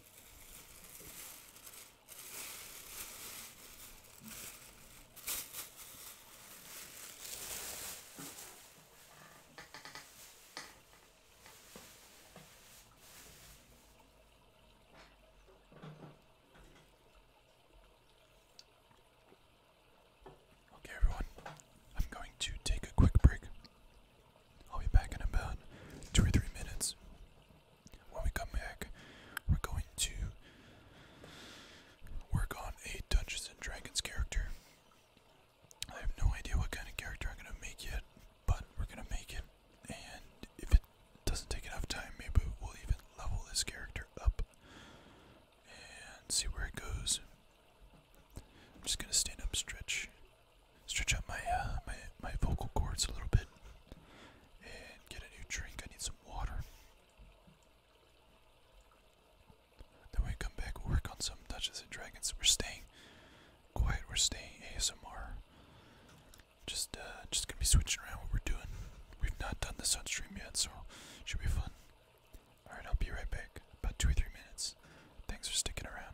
Okay, everyone, I'm going to take a quick break. I'll be back in about two or three minutes. When we come back, we're going to work on a Dungeons and Dragons character. I have no idea what kind of character I'm gonna make yet, but we're gonna make it. And if it doesn't take enough time, maybe we'll even level this character up and see where it goes. I'm just gonna stand up, stretch, stretch out uh, my my vocal cords a little bit and get a new drink. I need some water. Then we come back, work on some Dungeons and Dragons. We're staying quiet. We're staying ASMR. Just uh, just gonna be switching around what we're doing. We've not done this on stream yet, so should be fun. All right, I'll be right back. About two or three minutes. Thanks for sticking around.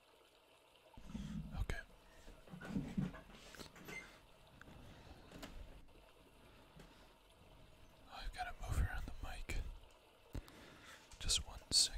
Okay. i got to move around the mic. Just one second.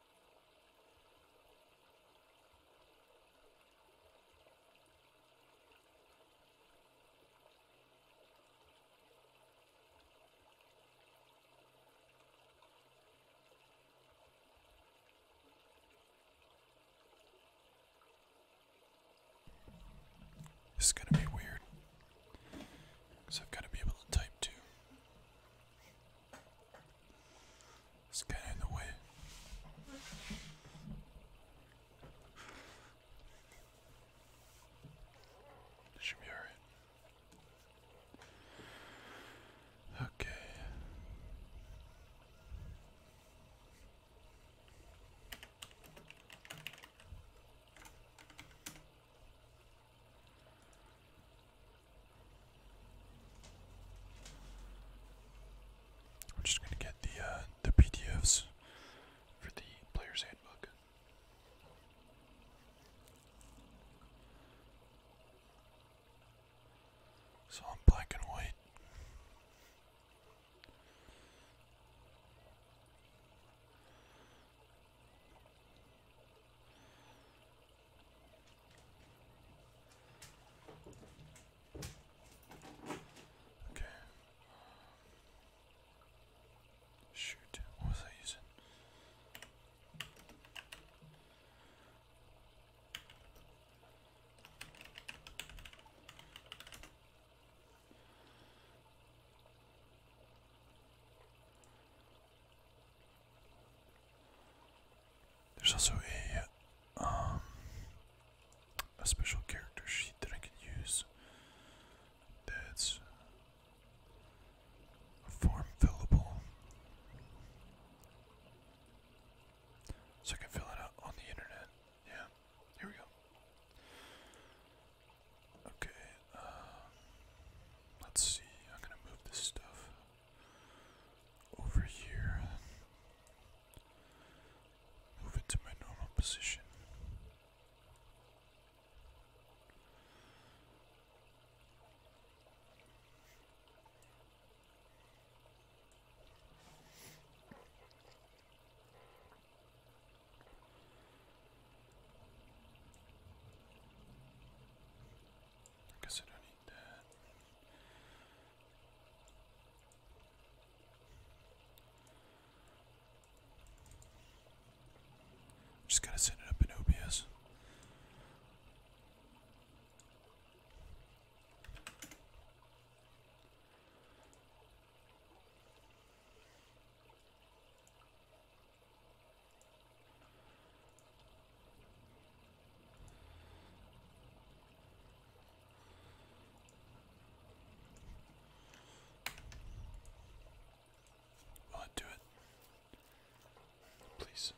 This is gonna be weird. Because I've got to be able to type too. It's getting in the way. should be alright. Okay. We're just gonna get the uh, the PDFs for the player's handbook. So i black and white. Okay. Shoot, what was I using? There's also a um, a special character sheet that I can use. That's form fillable, so I can fill it out on the internet. Yeah, here we go. Okay. Um, let's see, I'm gonna move this stuff over here. Move it to my normal position. I guess I don't need that. Just gotta set it up in OBS. Will it do it? Please.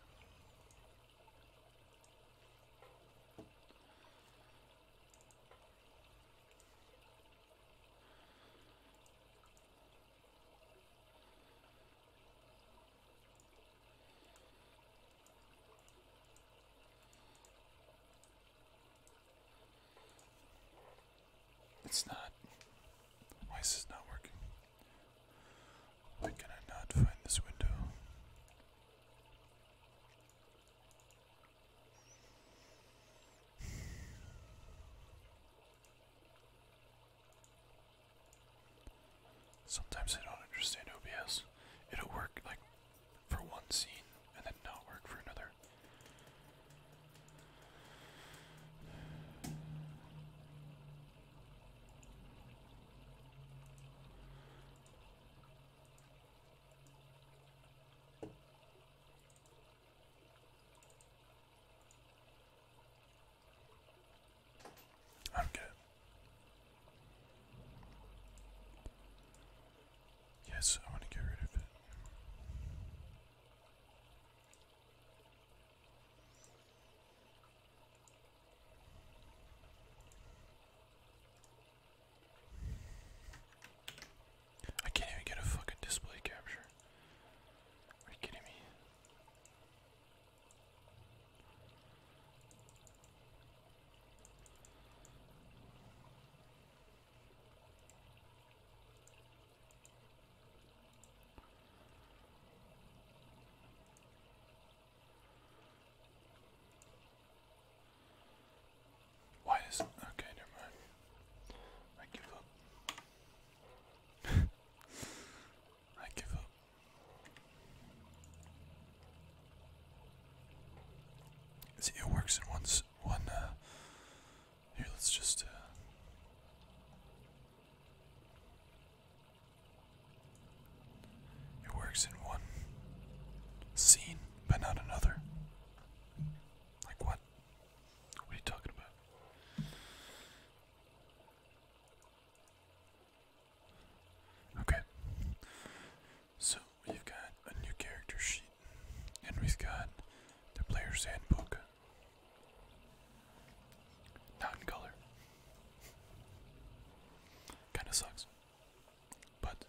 It's not. Why is this not working? Why can I not find this window? Sometimes I don't understand OBS. It'll work like for one scene and then not work for another. I'm good. Yes, I want to get rid of it. I can't even get a fucking display capture. Are you kidding me? Why is okay? Never mind. I give up. I give up. See, it works in one. One. Uh, here, let's just. Uh, it works in one scene, but not another. Like what? What are you talking about? Okay. So we've got a new character sheet, and we've got the player's handbook. Not in color. Kinda sucks. But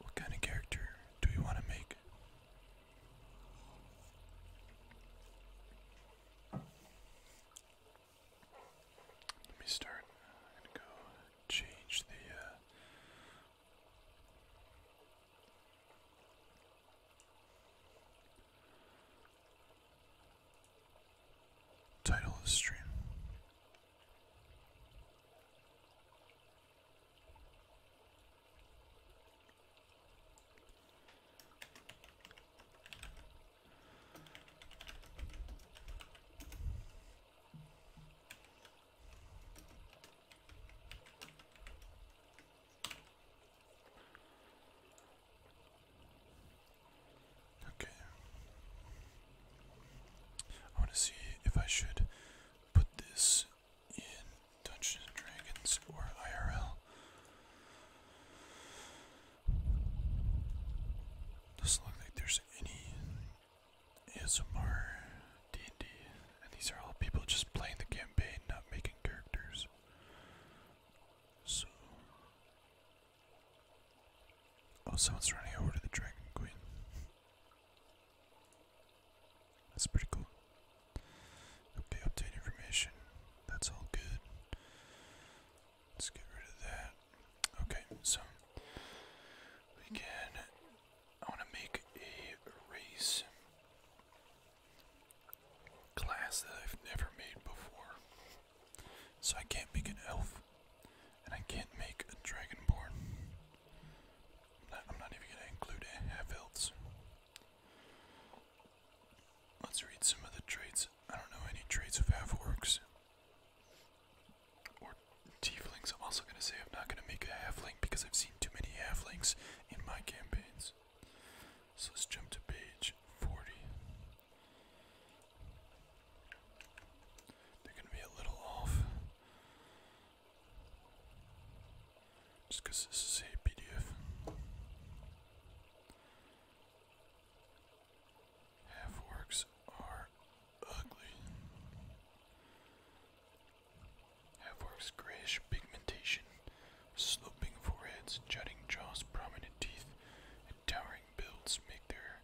what kind of character do you want to make? Let me start. i go change the. Uh, title of the stream. Okay. I want to see if I should put this in Dungeons and Dragons or IRL. Doesn't look like there's any ASMR D and these are all people just playing the campaign, not making characters. So, oh, someone's running over to the Dragon Queen. That's pretty cool. Okay, obtain information. That's all good. Let's get rid of that. Okay, so we can. I want to make a race class that I've never made before. So I can't make an elf, and I can't make a dragonborn. I'm not, even gonna include half elves. Let's read some of the traits. I don't know any traits of half orcs or tieflings. I'm also going to say I'm not going to make a halfling because I've seen too many halflings in my campaigns. So let's jump to page 40. They're going to be a little off. Just this is a PDF. Half are ugly. Half grayish pigmentation, sloping foreheads, jutting jaws, prominent teeth, and towering builds make their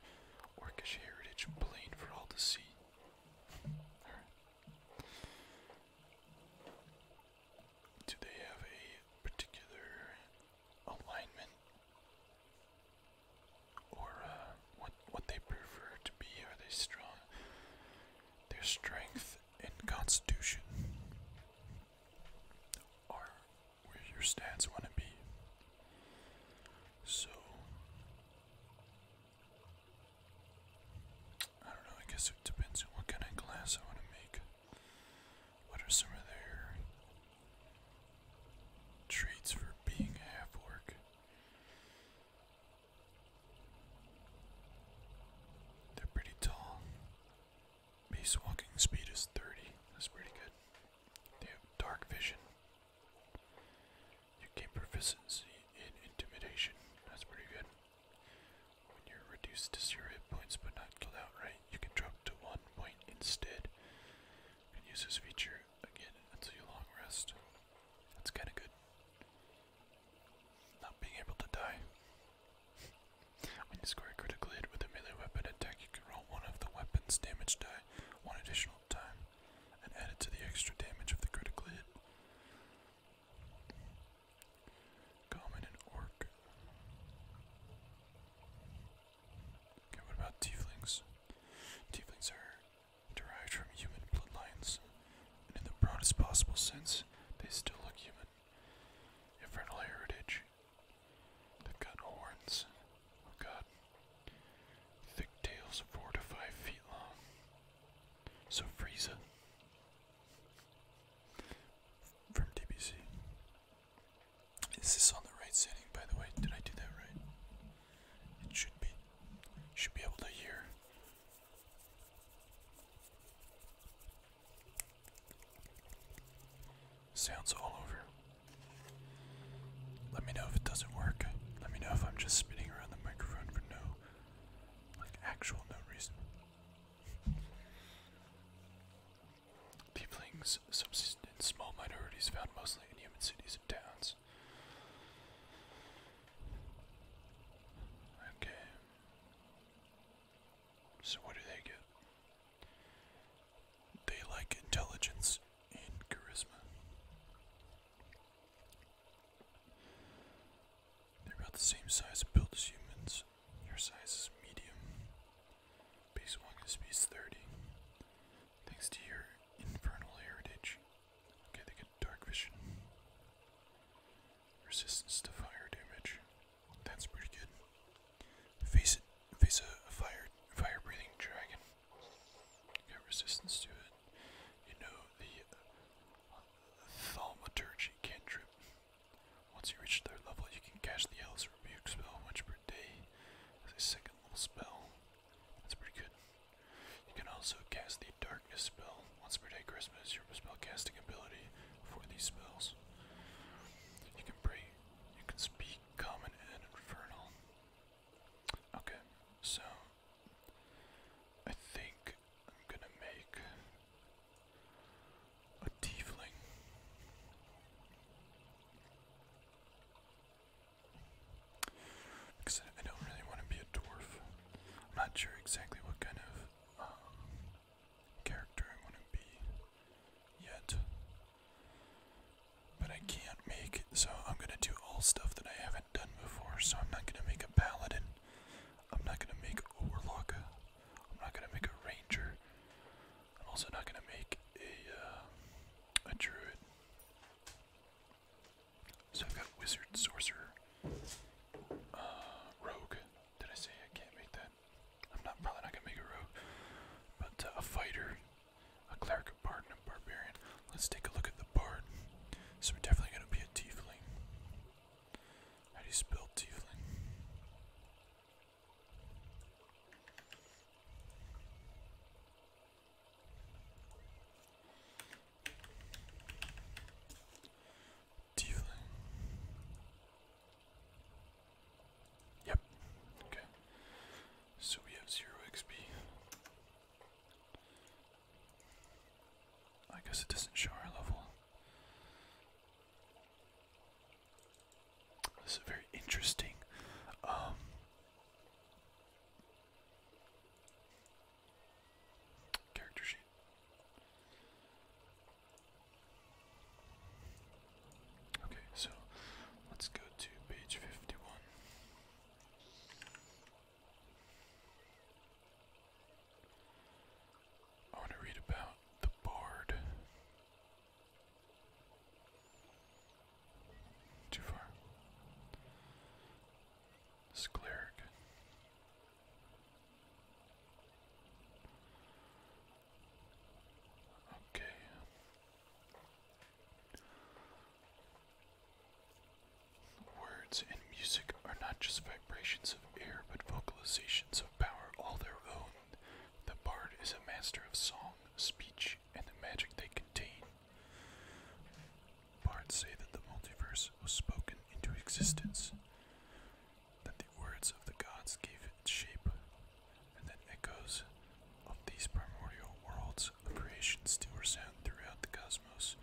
orcish heritage plain for all to see. Do they have a particular alignment or uh, what what they prefer to be. Are they strong? Their strength and constitution are where your stance want to be. So I don't know. I guess it depends on what kind of glass I want to make. What are some of their traits for being a half orc? They're pretty tall. Base walking speed is 30. That's pretty good. They have dark vision. You gain proficiency in intimidation. That's pretty good. When you're reduced to zero hit points but not killed outright you can drop to one point instead. You can use this feature again until your long rest. That's kind of good. Not being able to die. when you score a critical hit with a melee weapon attack, you can roll one of the weapon's damage die one additional time and add it to the extra damage of the critical hit. Common and orc. Okay, what about tieflings? Tieflings are derived from human bloodlines, and in the broadest possible sense, they still look human. Infernal heritage. They've got horns. Oh god. Thick tails four to five feet long. So Frieza. From DBC. Is this on the right setting, by the way? Did I do that right? It should be. Should be able to hear. Sounds all over. Let me know if it doesn't work. Let me know if I'm just spinning around the microphone for no, like, actual no reason. Tieflings subsist in small minorities found mostly in human cities and towns. Okay. So, what do they get? They like intelligence and charisma. They're about the same size and build as humans. Your size is medium. Base 1 is base 30. Thanks to your infernal heritage. get dark Resistance to fire damage. That's pretty good. Face it. Face a, fire, fire breathing dragon. Got resistance to it. You know the uh, thaumaturgy cantrip. Once you reach third level, you can cast the Alice Rebuke spell once per day as a second level spell. That's pretty good. You can also cast the Darkness spell once per day. Christmas your spell casting ability for these spells. You can pray. You can speak common and infernal. Okay, so I think I'm gonna make a tiefling. Because I, don't really want to be a dwarf. I'm not sure exactly what kind of um, character I want to be yet. But I can't make, so I'm gonna do all stuff that I haven't done before. So I'm not gonna make a paladin. I'm not gonna make a warlock. I'm not gonna make a ranger. I'm also not gonna make a uh, a druid. So I've got wizard, sorcerer, uh, rogue. Did I say I can't make that? I'm not probably not gonna make a rogue, but uh, a fighter, a cleric, of bard, and a barbarian. Let's take a look at the bard. So we're definitely gonna be a tiefling. How do you spell tiefling? Dealing. Yep. Okay. So we have zero XP. I guess it doesn't show our level. This is very interesting. Um, character sheet. Okay, so let's go to page 51. I want to read about the board. Too far. This cleric. Okay. Words and music are not just vibrations of air, but vocalizations of power all their own. The bard is a master of song, speech, and the magic they contain. Bards say that the multiverse was spoken into existence, that the words of the gods gave it shape, and that echoes of these primordial worlds of creation still resound throughout the cosmos.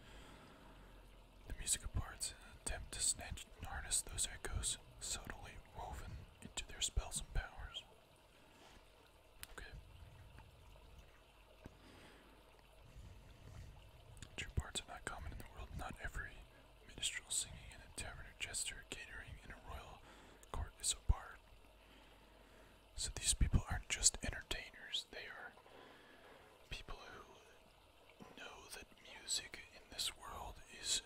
The music of bards in an attempt to snatch and harness those echoes subtly woven into their spells and powers. Okay. True parts are not common in the world. Not every minstrel singing in a tavern or jester catering in a royal court is a bard. So these people aren't just entertainers, they are people who know that music in this world is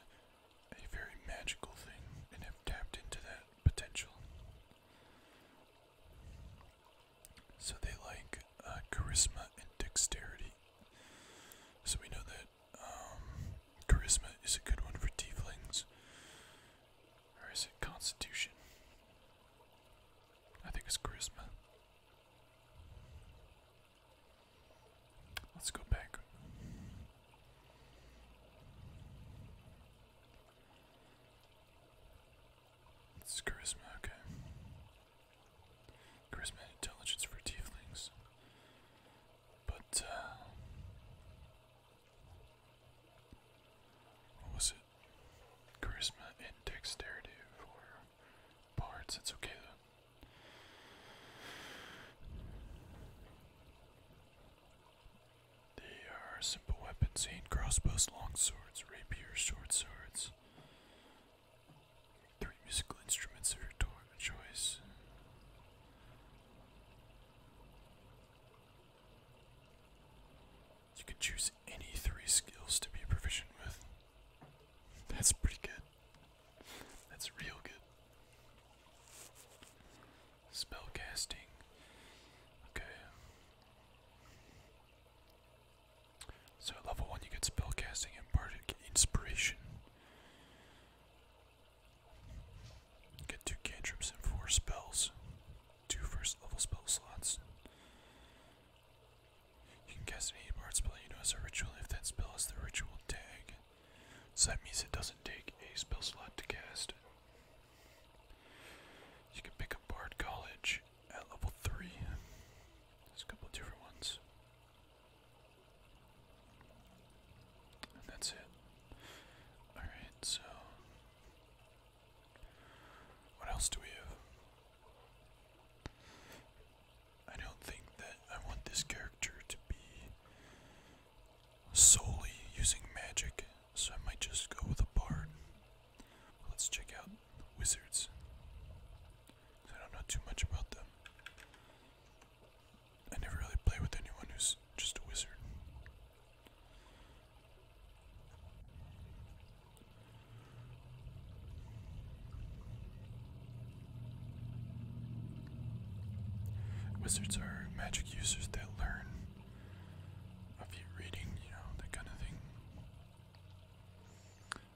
a very magical thing and have tapped into that potential. So they like uh, charisma and dexterity. So we know that um, charisma is a good one for tieflings. Or is it constitution? I think it's charisma. Let's go back. It's charisma, okay. Charisma intelligence for tieflings. But, uh, What was it? Charisma and dexterity for bards. It's okay though. They are simple weapons, hand crossbows, long swords, rapier, short swords. Three musical instruments of your choice. You can choose any three skills to be proficient with. That's pretty good. That's real good. Spellcasting. Okay. So level 1 you get spellcasting and bardic inspiration. You get 2 cantrips and 4 spells. 2 level spell slots. You can cast any bard spell you know as a ritual if that spell has the ritual tag. So that means it doesn't take a spell slot to cast. You can pick up Bard College at level 3. There's a couple different ones. And that's it. Alright, so. What else do we have? I don't think that I want this character to be solely using magic, so I might just go with a bard. Let's check out the wizards. I don't know too much about them. I never really play with anyone who's just a wizard. Wizards are magic users that learn of you reading, you know, that kind of thing.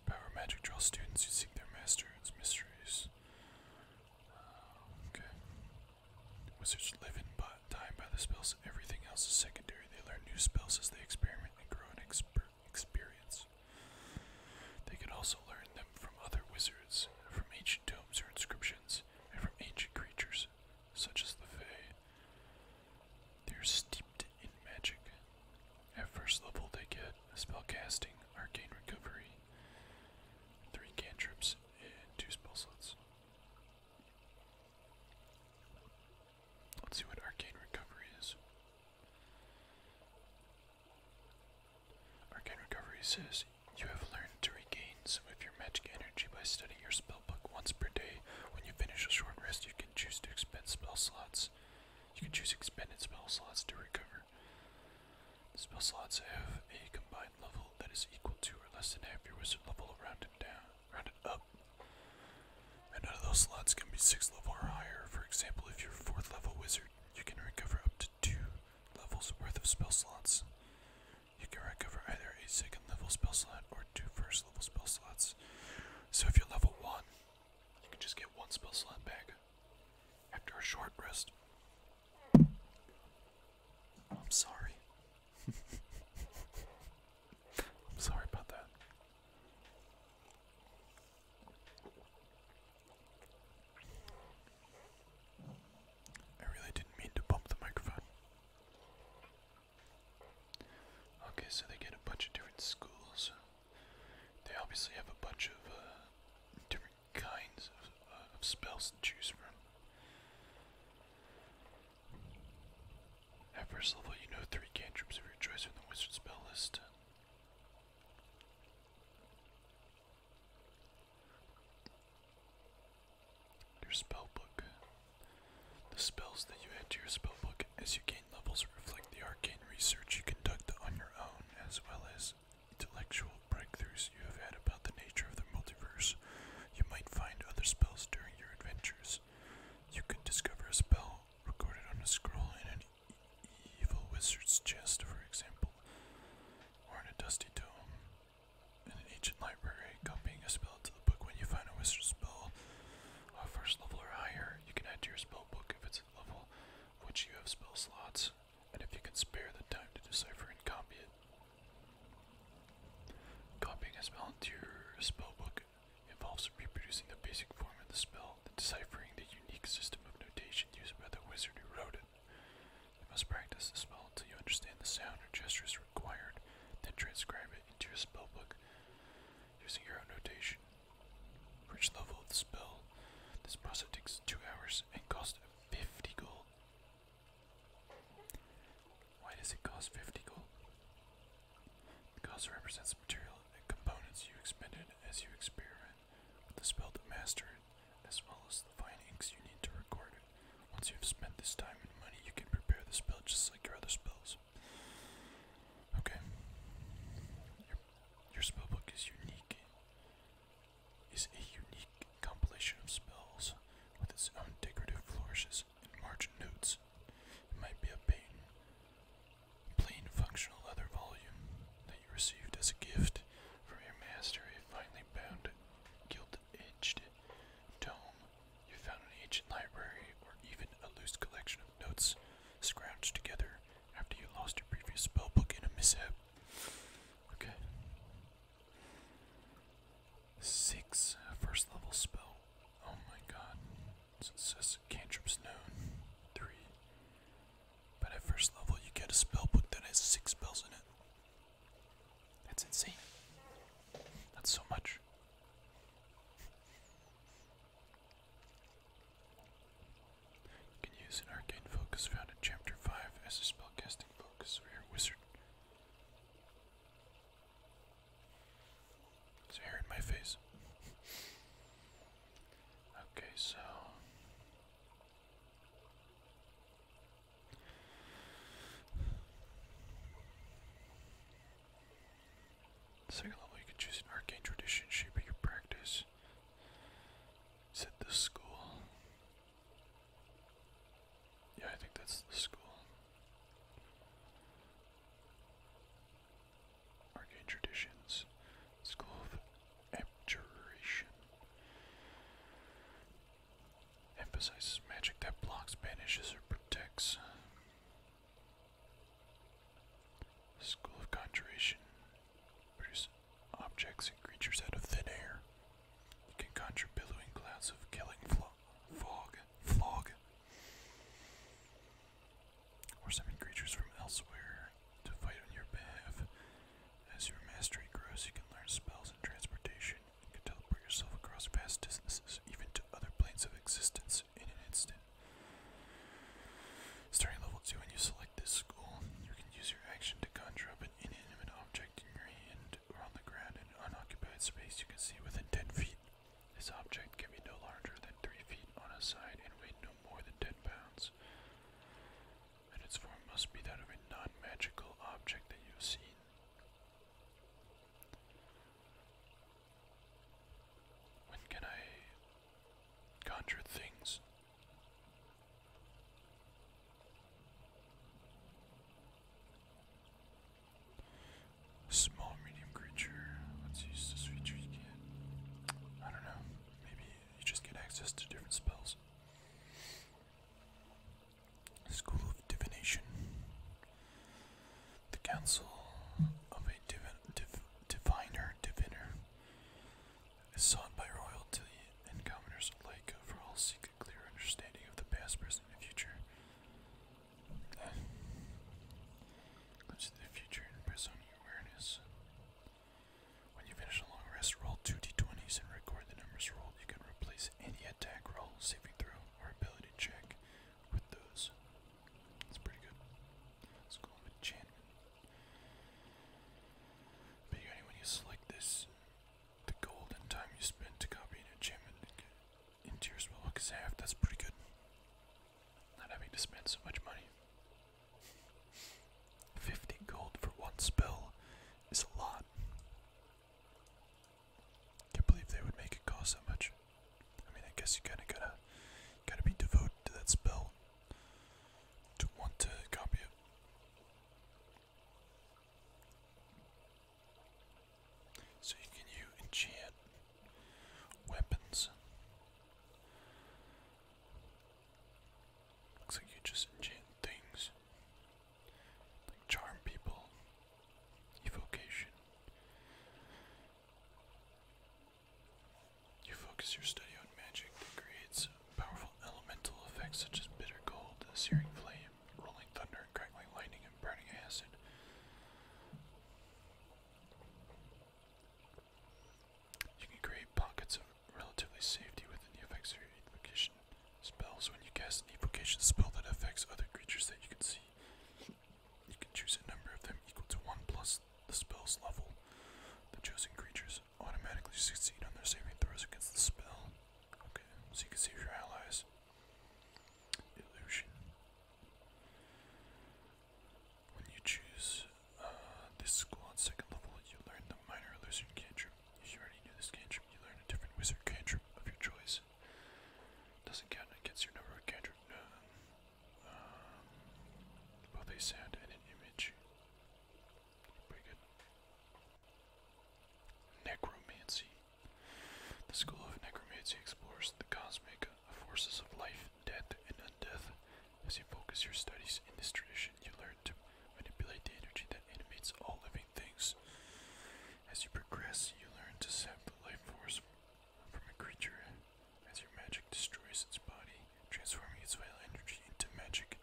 Power magic draws students who seek their master's mysteries. Uh, okay. Wizards live in but time by the spells. Everything else is secondary. They learn new spells as they experiment and grow in experience. They can also learn them from other wizards, from ancient tomes or inscriptions and from ancient creatures such as the Fae. They are steeped in magic. At first level, they get spell casting, arcane recovery, three cantrips, and two spell slots. Let's see what arcane recovery is. Arcane recovery says you have learned to regain some of your magic energy by studying your spellbook once per day. When you finish a short rest, you can choose to expend spell slots. You can choose expended spell slots to recover. The spell slots have a combined level that is equal to or less than half your wizard level rounded down rounded up. And none of those slots can be sixth level or higher. For example, if you're fourth level wizard, you can recover up to two levels worth of spell slots. You can recover either a second level spell slot or two first level spell slots. So if you're level 1, you can just get one spell slot back after a short rest. I'm sorry. I'm sorry about that. I really didn't mean to bump the microphone. Okay, so they get a bunch of different schools. They obviously have a bunch of uh, different kinds uh, of spells to choose from. At first level, you know three cantrips of your choice from the wizard spell list. Your spellbook. The spells that you add to your spellbook as you gain levels reflect the arcane research you conduct on your own, as well as intellectual breakthroughs you have had about the nature of the multiverse. You might find other spells during your adventures. You could discover a spell recorded on a scroll in an evil wizard's chest, for example, or in a dusty tome. In an ancient library, copying a spell into the book. When you find a wizard spell of first level or higher, you can add to your spell book if it's a level which you have spell slots, and if you can spare the time to decipher and copy it. Copying a spell into your spell book involves reproducing the basic form of the spell, then deciphering the unique system of notation used by the wizard who wrote it. You must practice the spell until you understand the sound or gestures required, then transcribe it into your spellbook using your own notation. For each level of the spell, this process takes two hours and costs 50 gold. Why does it cost 50 gold? The cost represents the material and components you expended as you experiment with the spell to master it, as well as the fine inks you need to record it. Once you have spent this time and money, you can prepare the spell just like your other spells. Okay. Your, your spellbook is unique. Is a unique compilation of spells with its own decorative flourishes and margin notes. It might be a plain, plain functional leather volume that you received as a gift from your master, a finely bound, gilt edged tome you found an ancient library or even a loose collection of notes scrounged together after you lost your previous spellbook in a mishap. Okay. Six uh, first level spell. Oh my god. So it says cantrips known. Three. But at first level you get a spellbook that has six spells in it. That's insane. That's so much. You can use an arcane focus found in chapter 5 as a spellcasting focus for your wizard. It's hair in my face. okay, so Second level, you can choose an arcane tradition shaping your practice. Is it the school? Yeah, I think that's the school. Arcane traditions. School of abjuration. Emphasizes magic that blocks, banishes, or protects. School of Conjuration. Produce objects and creatures out of thin air. You can conjure billowing clouds of killing fog, fog. Or summon creatures from elsewhere to fight on your behalf. As your mastery grows, you can learn spells and transportation. You can teleport yourself across vast distances, even to other planes of existence, in an instant. Starting level 2, when you select this school, you can use your action to conjure up an inanimate object in your hand or on the ground in unoccupied space you can see within 10 feet. This object can be no larger than 3 feet on a side and weigh no more than 10 pounds. And its form must be that of a non magical object that you have seen. When can I conjure things? Small, medium creature. Let's use this feature you I don't know. Maybe you just get access to different spells. School of Divination. The Council of a Diviner Diviner is sought by royalty and commoners alike, for all seek a clear understanding of the past, present, and future. Glimpse the future and press on your awareness. When you finish a long rest, roll two d20s and record the numbers rolled. You can replace any attack roll, saving throw, or ability check with those. It's pretty good. Let's go with enchantment. But yeah, when you select this, the gold time you spend to copy an enchantment into your spellbook is half. That's pretty good. Not having to spend so much money. 50 gold for one spell is a lot. Can't believe they would make it cost that much. I mean, I guess you kind of gotta, gotta be devoted to that spell to want to copy it. So you can you enchant weapons. Looks like you just enchant things charm people, evocation. You focus your study on magic that creates powerful elemental effects such as bitter gold, searing flame, rolling thunder, crackling lightning, and burning acid. You can create pockets of relatively safety within the effects of your evocation spells. When you cast an evocation spell that affects other creatures that you can see, you can choose a number of them equal to 1 plus the spell's level. The chosen creatures automatically succeed on their saving throws against the spell. Okay, so you can save your allies. Illusion. When you choose uh, this school on second level, you learn the minor illusion cantrip. If you already knew this cantrip, you learn a different wizard cantrip of your choice. Doesn't count against your number of cantrip. Um, both a sound and an image. Pretty good. Necromancy. The school of necromancy explores the cosmic forces of life, death, and undeath. As you focus your studies in this tradition, you learn to manipulate the energy that animates all living things. As you progress, you learn to separate life force from a creature as your magic destroys its body, transforming its vital energy into magic.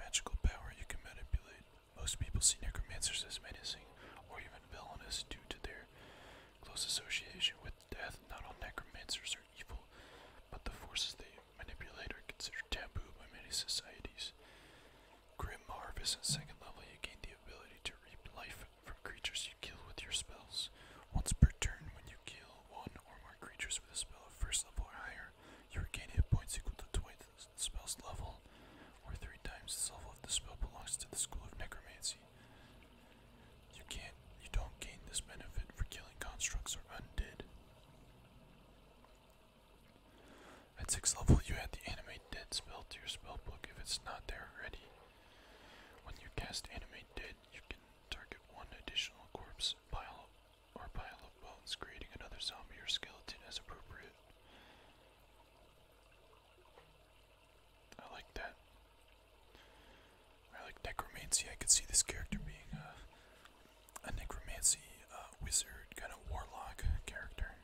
Magical power you can manipulate. Most people see necromancers as menacing or even villainous due to their close association with death. Not all necromancers are evil, but the forces they manipulate are considered taboo by many societies. Grim Marv at second level. You gain the ability to reap life from creatures you kill with your spells. Once per turn, when you kill one or more creatures with a spell of first level or higher, you regain hit points equal to twice the spell's level, or three times the level if the spell belongs to the school of necromancy. You can't. You don't gain this benefit for killing constructs or undead. At 6th level, you add the Animate Dead spell to your spellbook if it's not there already. When you cast Animate Dead, you can target one additional corpse, pile, or pile of bones, creating another zombie or skeleton as appropriate. I like that. I like necromancy. I could see this character being uh, a, necromancy uh, wizard, kind of warlock character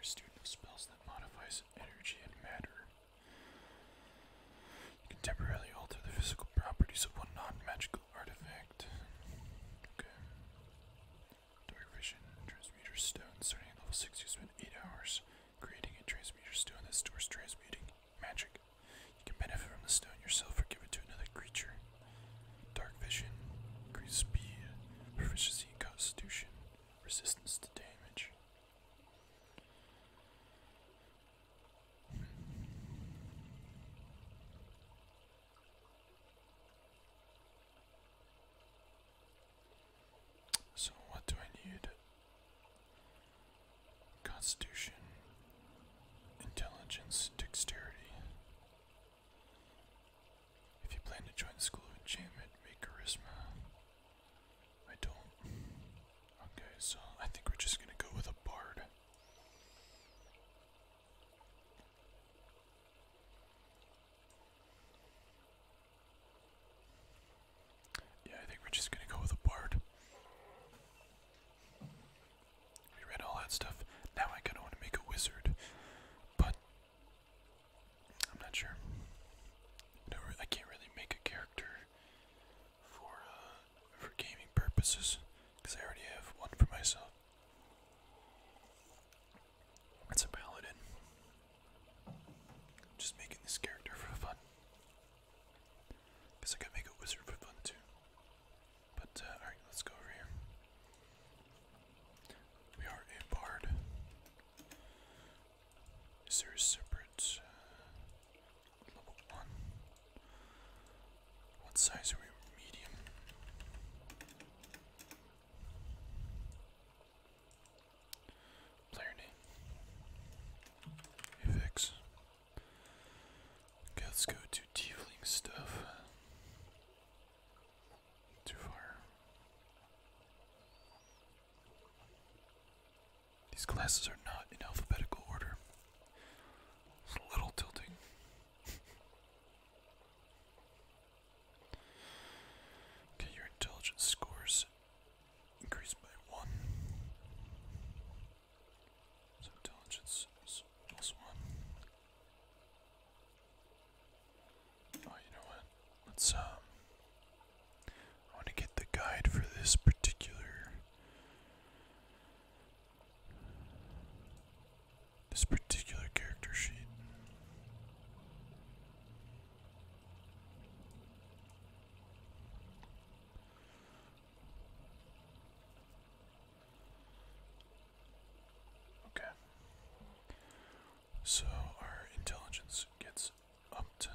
a student of spells that modifies energy and matter. You can temporarily alter the physical properties of one non-magical artifact. Okay. Dark vision, transmuter stone. Starting at level 6, you spend 8 hours creating a transmuter stone that stores transmuting magic. You can benefit from the stone yourself or give it to another creature. Dark vision, increased speed, proficiency, in constitution, resistance to damage. So, what do I need? Constitution, intelligence, dexterity. If you plan to join the School of Enchantment, make charisma. I don't. Okay, so I think we're just gonna go with a bard. Yeah, I think we're just gonna go with a bard. We read all that stuff. Now I kind of want to make a wizard, but I'm not sure. I, can't really make a character for uh, for gaming purposes because I already have one for myself. It's a paladin. just making this character for fun. Guess I could make a wizard for fun too. But uh, alright, let's go over here. We are a bard. Is there a separate uh, level one? What size are we? Medium. Player name. Avix. let's go to tiefling stuff. Too far. These classes are not in alphabetical order. It's a little tilting. okay, your intelligence scores increased by one. So intelligence one. Oh, you know what? Let's um. I want to get the guide for this particular. This particular character sheet. Okay. So our intelligence gets upped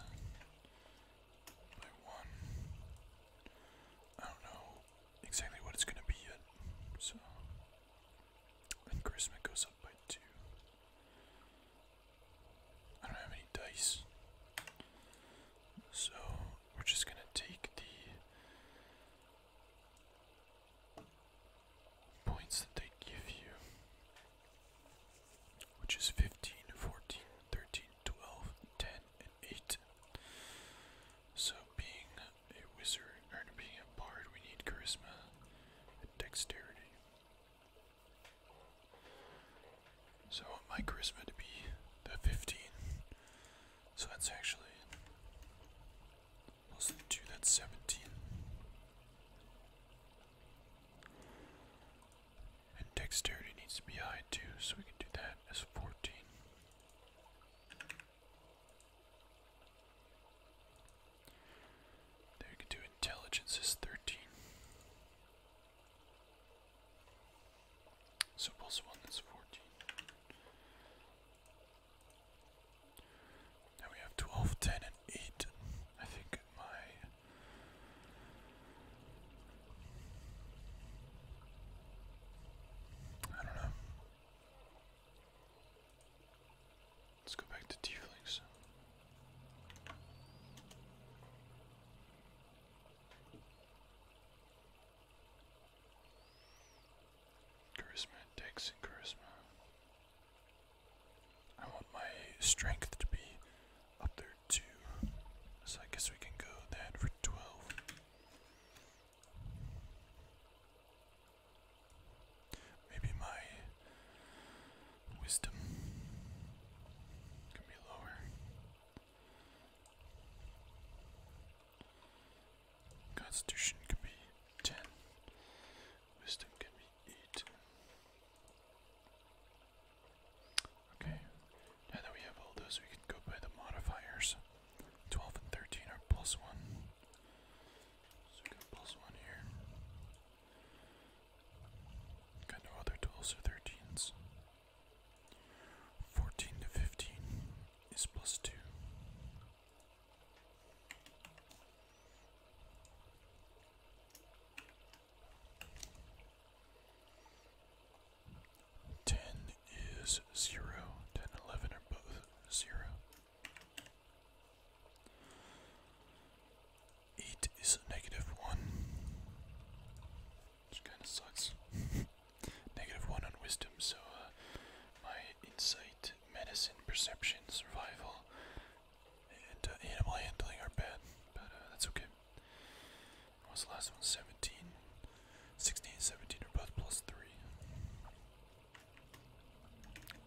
by one. I don't know exactly what it's going to be yet. So. And charisma goes up by two. I don't have any dice. So we're just going to take the points that they give you, which is 15, and 8. So, being a wizard or being a bard, we need charisma and dexterity. So, I want my charisma to be the 15. So, that's actually Plus 2, that's 17. And dexterity needs to be high too, so we can do that as 14. we can do intelligence as 13. So plus 1, that's 14. Now we have 12, 10, and 8. I think my. I don't know. Let's go back to tieflings. Charisma, dex, and charisma. I want my strength to be up there too. So I guess we can go that for 12. Maybe my wisdom can be lower. Constitution could be 10. Wisdom can be 8. Okay, now that we have all those, we can go by the modifiers. 12 and 13 are plus 1. So plus 1 here. Got no other 12s or 13s. 14 to 15 is plus 2. Ten is zero. Ten eleven are both zero. Eight is one. Which kinda sucks. negative one on wisdom, so uh, my insight medicine, perception, survival, and uh, animal handling are bad, but uh, that's okay. What's the last one? 17. 16 and 17 are both plus 3.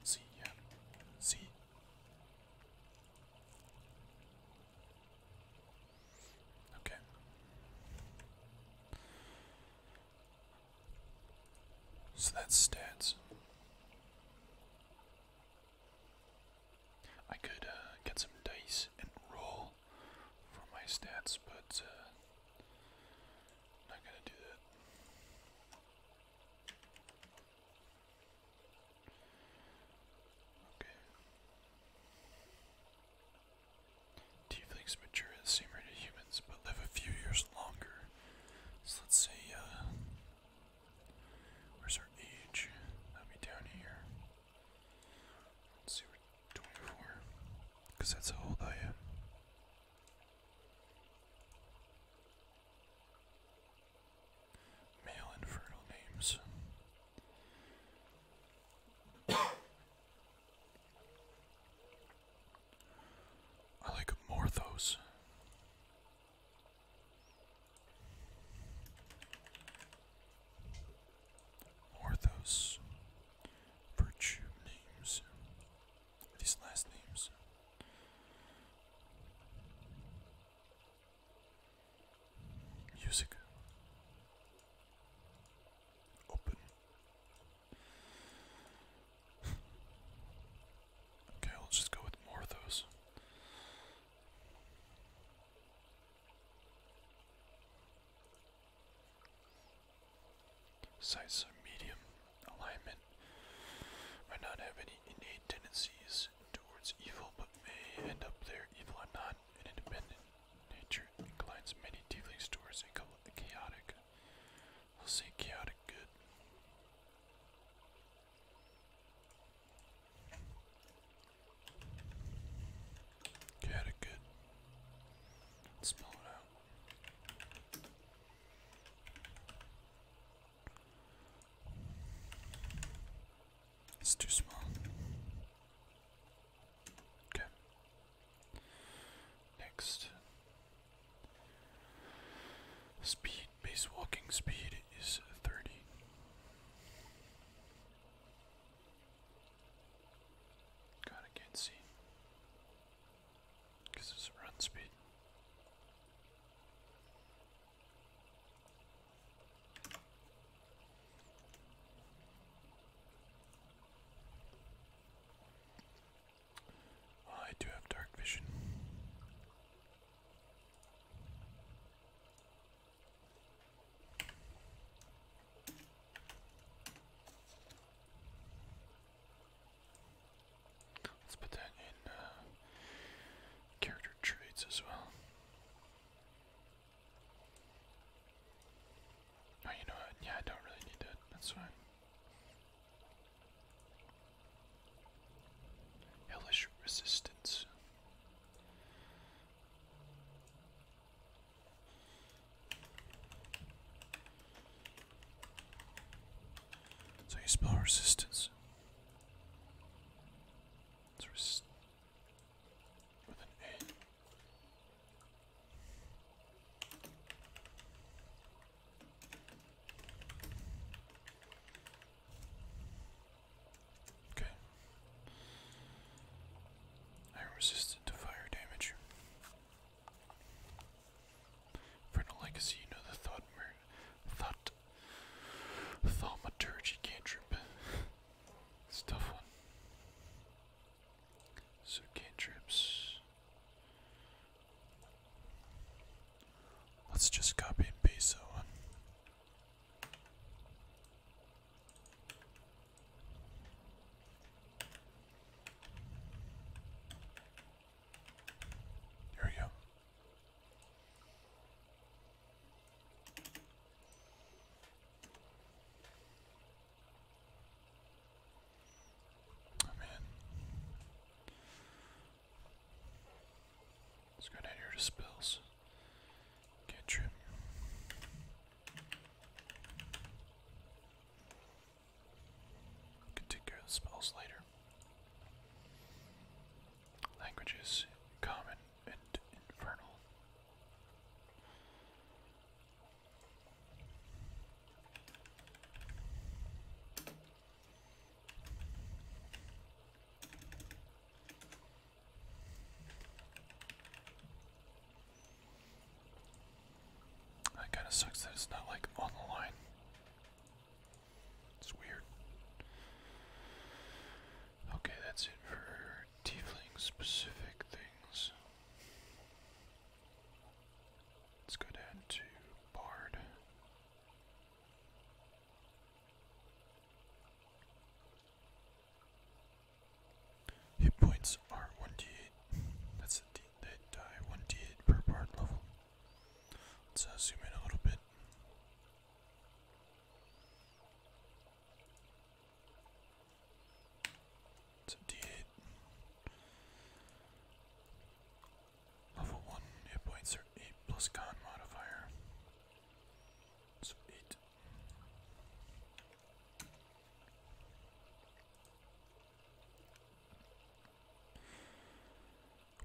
See, Okay. So that's stats. I could uh, get some dice and roll for my stats, but uh, not gonna do that. Okay. Tieflings mature at the same rate as humans, but live a few years longer. So let's see, uh, where's our age? That'll be down here. Let's see, we're 24. Because that's how old I am. Male infernal names. I like more of those. virtue names. These last names. Music. Open okay, let's just go with more of those. Size medium alignment might not have any innate tendencies towards evil, but may end up there. Evil or not an independent nature inclines many dealings towards a chaotic We'll see chaotic good. Chaotic good. spell it out. It's too small. Okay. Next. Speed, base walking speed is 30. God, I can't see. Because it's run speed. I do have dark vision. Let's put that in uh, character traits as well. Oh, you know what? Yeah, I don't really need that. That's fine. Hellish resistance. So you spell resistance. with an A. Okay. I resisted to fire damage. Infernal Legacy, you know the thought thought thaumaturgy cantrip. it's tough one. So cantrips Let's just copy and paste that one. There we go. Oh man. Let's go down here to spells. Cantrip. We can take care of spells later. Languages common and infernal. That kind of sucks that it's not like on the line. It's weird. Okay, that's it for tiefling specific things. Let's go down to Bard. Hit points are 1d8. That's a d they die 1d8 per part level. Let's uh, zoom in a little bit. It's a d8. Level 1 hit points are 8 plus con modifier. So 8.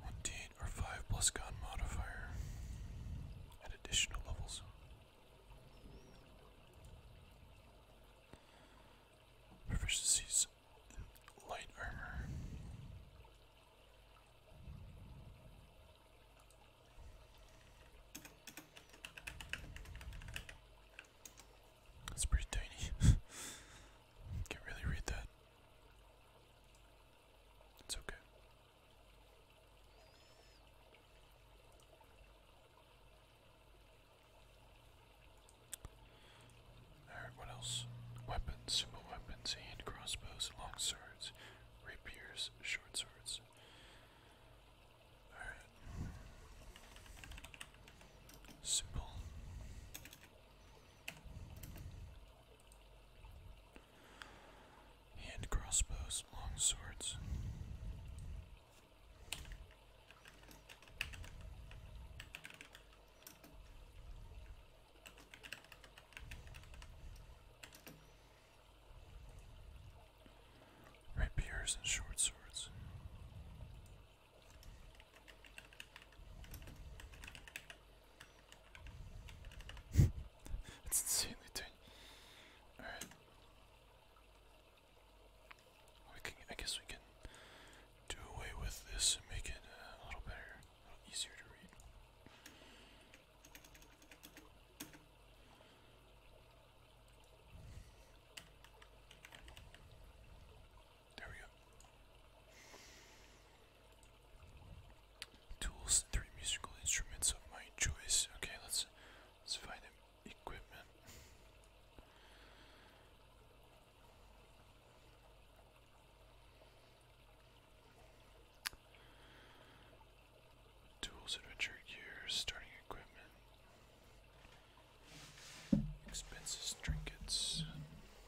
One D eight or five plus con modifier at additional levels. Proficiencies light armor. It's pretty tiny. Can't really read that. It's okay. Alright, what else? Weapons, simple weapons, and crossbows, long swords, rapiers, short swords. Alright. Simple. Hand crossbows, long swords. Rapiers and short swords. it's insanely tiny. Alright. I guess we can do away with this and make it uh, a little better easier to read. There we go. Tools three musical instruments of my choice. Okay, let's let's find Equipment. Tools, adventure gear, starting equipment, expenses, trinkets.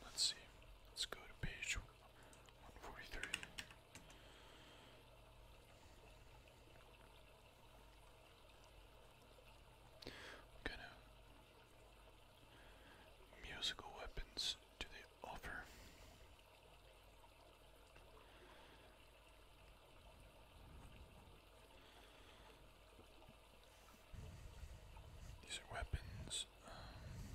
Let's see. Let's go to page 143. i musical weapons do they offer? These are weapons. Um,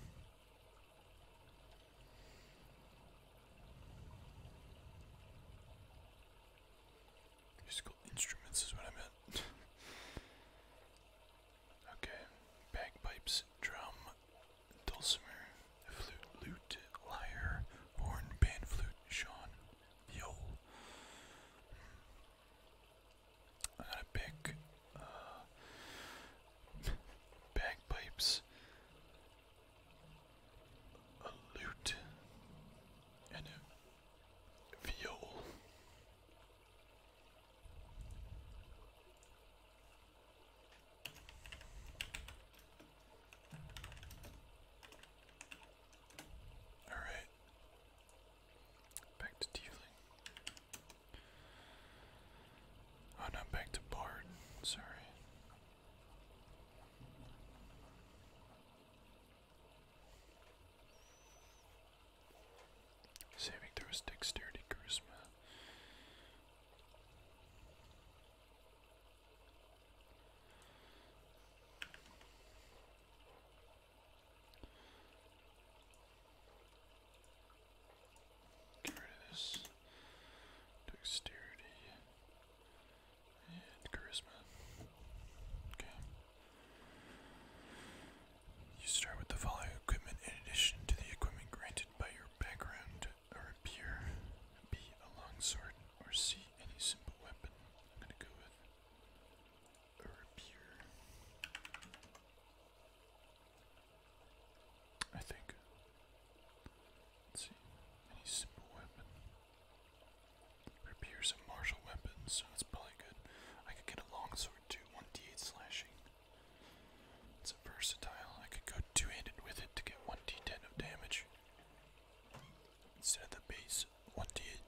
musical instruments is what I meant. Okay, bagpipes, drum, dulcimer, flute, lute, lyre, horn, pan, flute, Sean, viol. I gotta pick uh, bagpipes, a lute, and a viol. All right. Back to dealing. Oh, not back to Bard. Sorry. Saving throws, dexterity, charisma. Get rid of this dexterity and charisma. Okay. You start with the following equipment in addition to the equipment granted by your background or a peer. B. A long or Any simple weapon. I'm gonna go with a rapier. I think. Let's see. Any simple weapon. Rapiers a martial weapon, so that's probably good. I could get a long too. One D8 slashing. It's versatile. I could go two-handed with it to get 1d10 of damage. Instead of the base 1d8.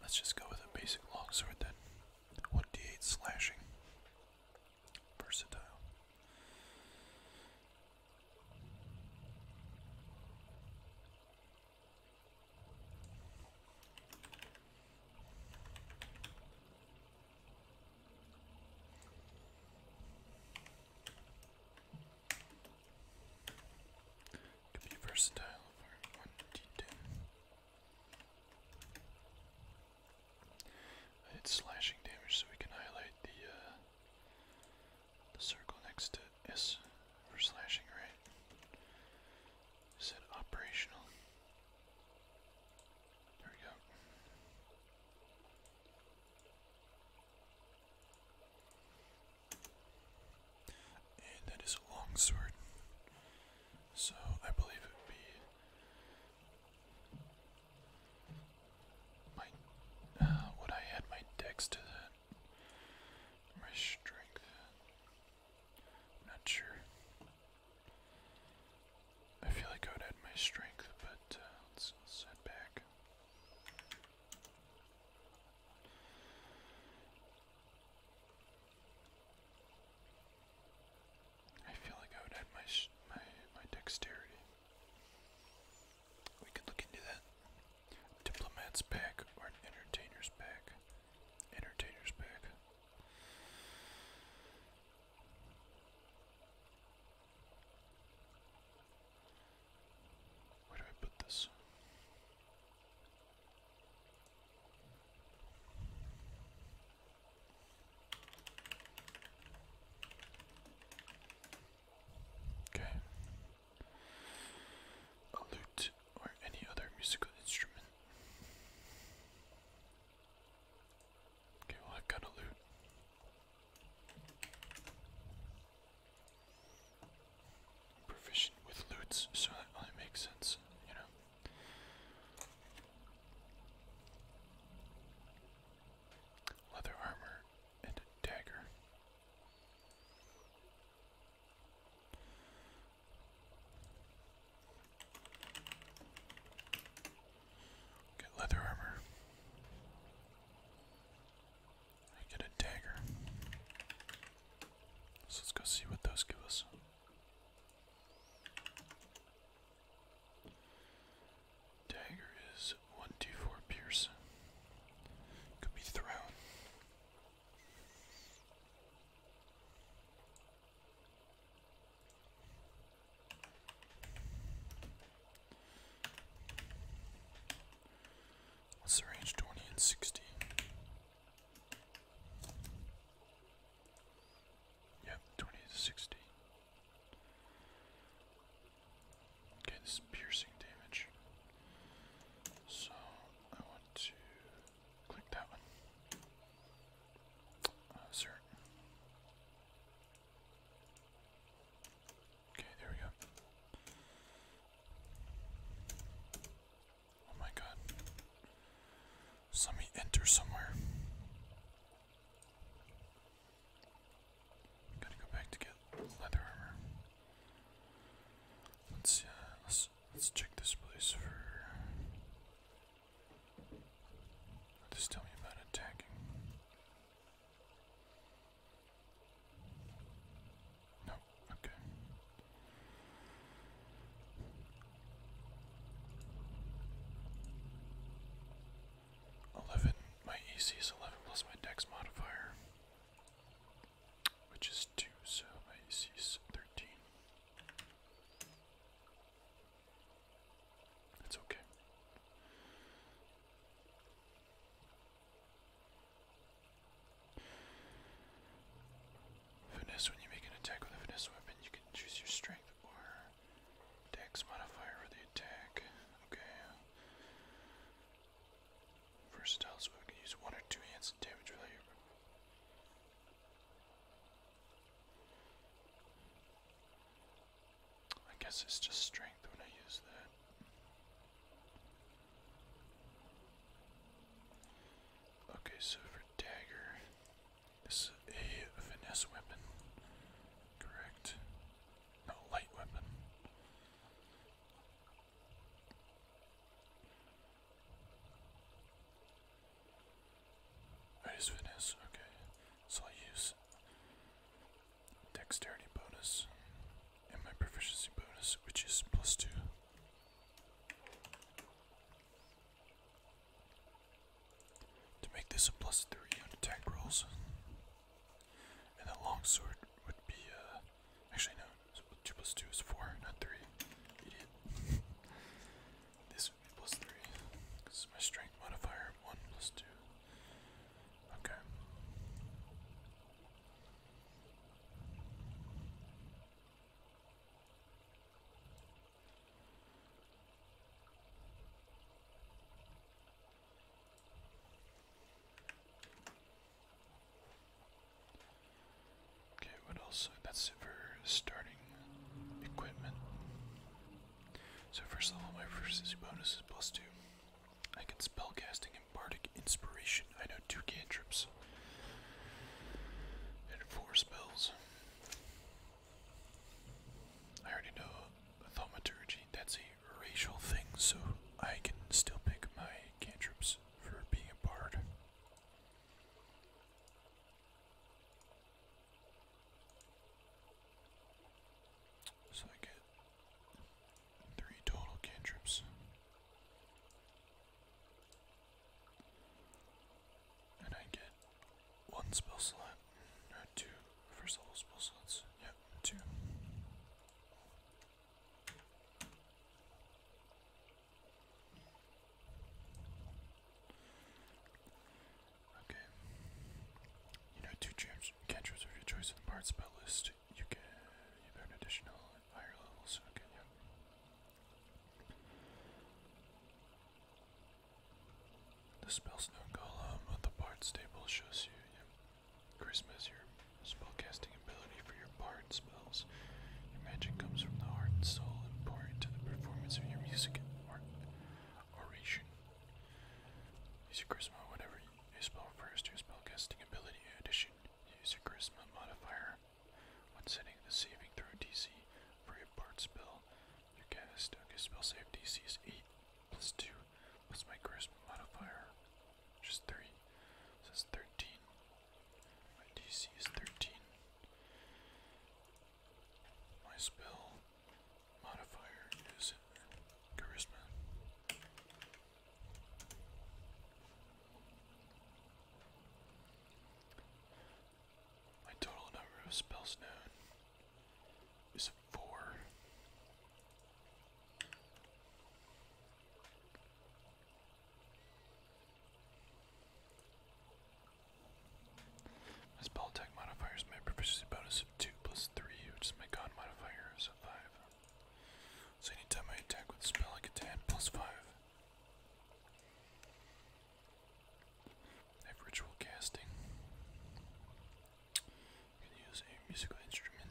Let's just go with a basic longsword then. 1d8 slashing. Versatile. Could be versatile for slashing damage so we can highlight the uh, the circle next to Yes, for slashing, right? Is it operational? There we go. And that is a long So I believe it would be my uh, would I add my dex to that? my strength. not sure. I feel like I would add my strength, but uh, let back. I feel like I would add my my my dexterity. We could look into that. Diplomat's pack or an entertainer's pack? Entertainer's pack. Where do I put this? Okay a lute, or any other musical instrument. Okay, well, I've got a lute. proficient with lutes, so that makes sense, you know. Leather armor and a dagger. Get leather armor. I get a dagger. So let's go see what those give us. Dagger is 1d4 pierce. Could be thrown. What's the range? Twenty and sixty. Yep, twenty to sixty. Okay, this piercing damage. So I want to Click that one. Assert. Uh, okay, there we go. Oh my god. let me enter somewhere. Gotta go back to get leather armor. Let's uh let's let's check this place for. What tell me about attacking? No, okay. Eleven. My EC is eleven plus my Dex modifier which is 2, so I AC 13. It's okay. Finesse, when you make an attack with a finesse weapon, you can choose your strength or dex modifier for the attack. Okay. Versatile, so we can use one or two hands and damage value. I guess it's just strength when I use that. Okay, so for dagger, this is a finesse weapon, correct? No, light weapon. Raise witness, okay. So i use dexterity bonus and my proficiency bonus, which is plus two. To make this a plus three on attack rolls. And that long would be uh, actually no, so 2 plus 2 is 4, not 3. Idiot. this would be plus 3. This is my strength modifier. 1 plus 2. Okay. Okay, what else? That's it for starting equipment. So first level, my first easy bonus is plus two. I can spell casting and bardic inspiration. I know two cantrips and four spells. I already know thaumaturgy. That's a racial thing, so I can still pick my cantrips for being a bard. So I get three total cantrips. And I get one spell slot, two first level spell slots. Yep, two. Okay. You know two cantrips of your choice in the bard spell list. You can you learn additional higher levels. Okay, yeah. The spellstone column of the bard's table shows you, yeah. Christmas, your spellcasting ability for your parts spells. Your magic comes from the heart and soul, important the performance of your music or oration. Use your charisma, whatever your spell refers to your spellcasting ability. addition, use your charisma modifier when setting the saving throw DC for your part spell. Your cast okay, spell save DC is 8 plus 2 plus my charisma modifier, which 3. So 13. My DC is 13. My spell modifier is charisma. My total number of spells known is four. This ball attack modifier is my proficiency bonus of 2 plus 3, which is my god modifier is 5. So anytime I attack with a spell, I get to 5. I have ritual casting. I can use a musical instrument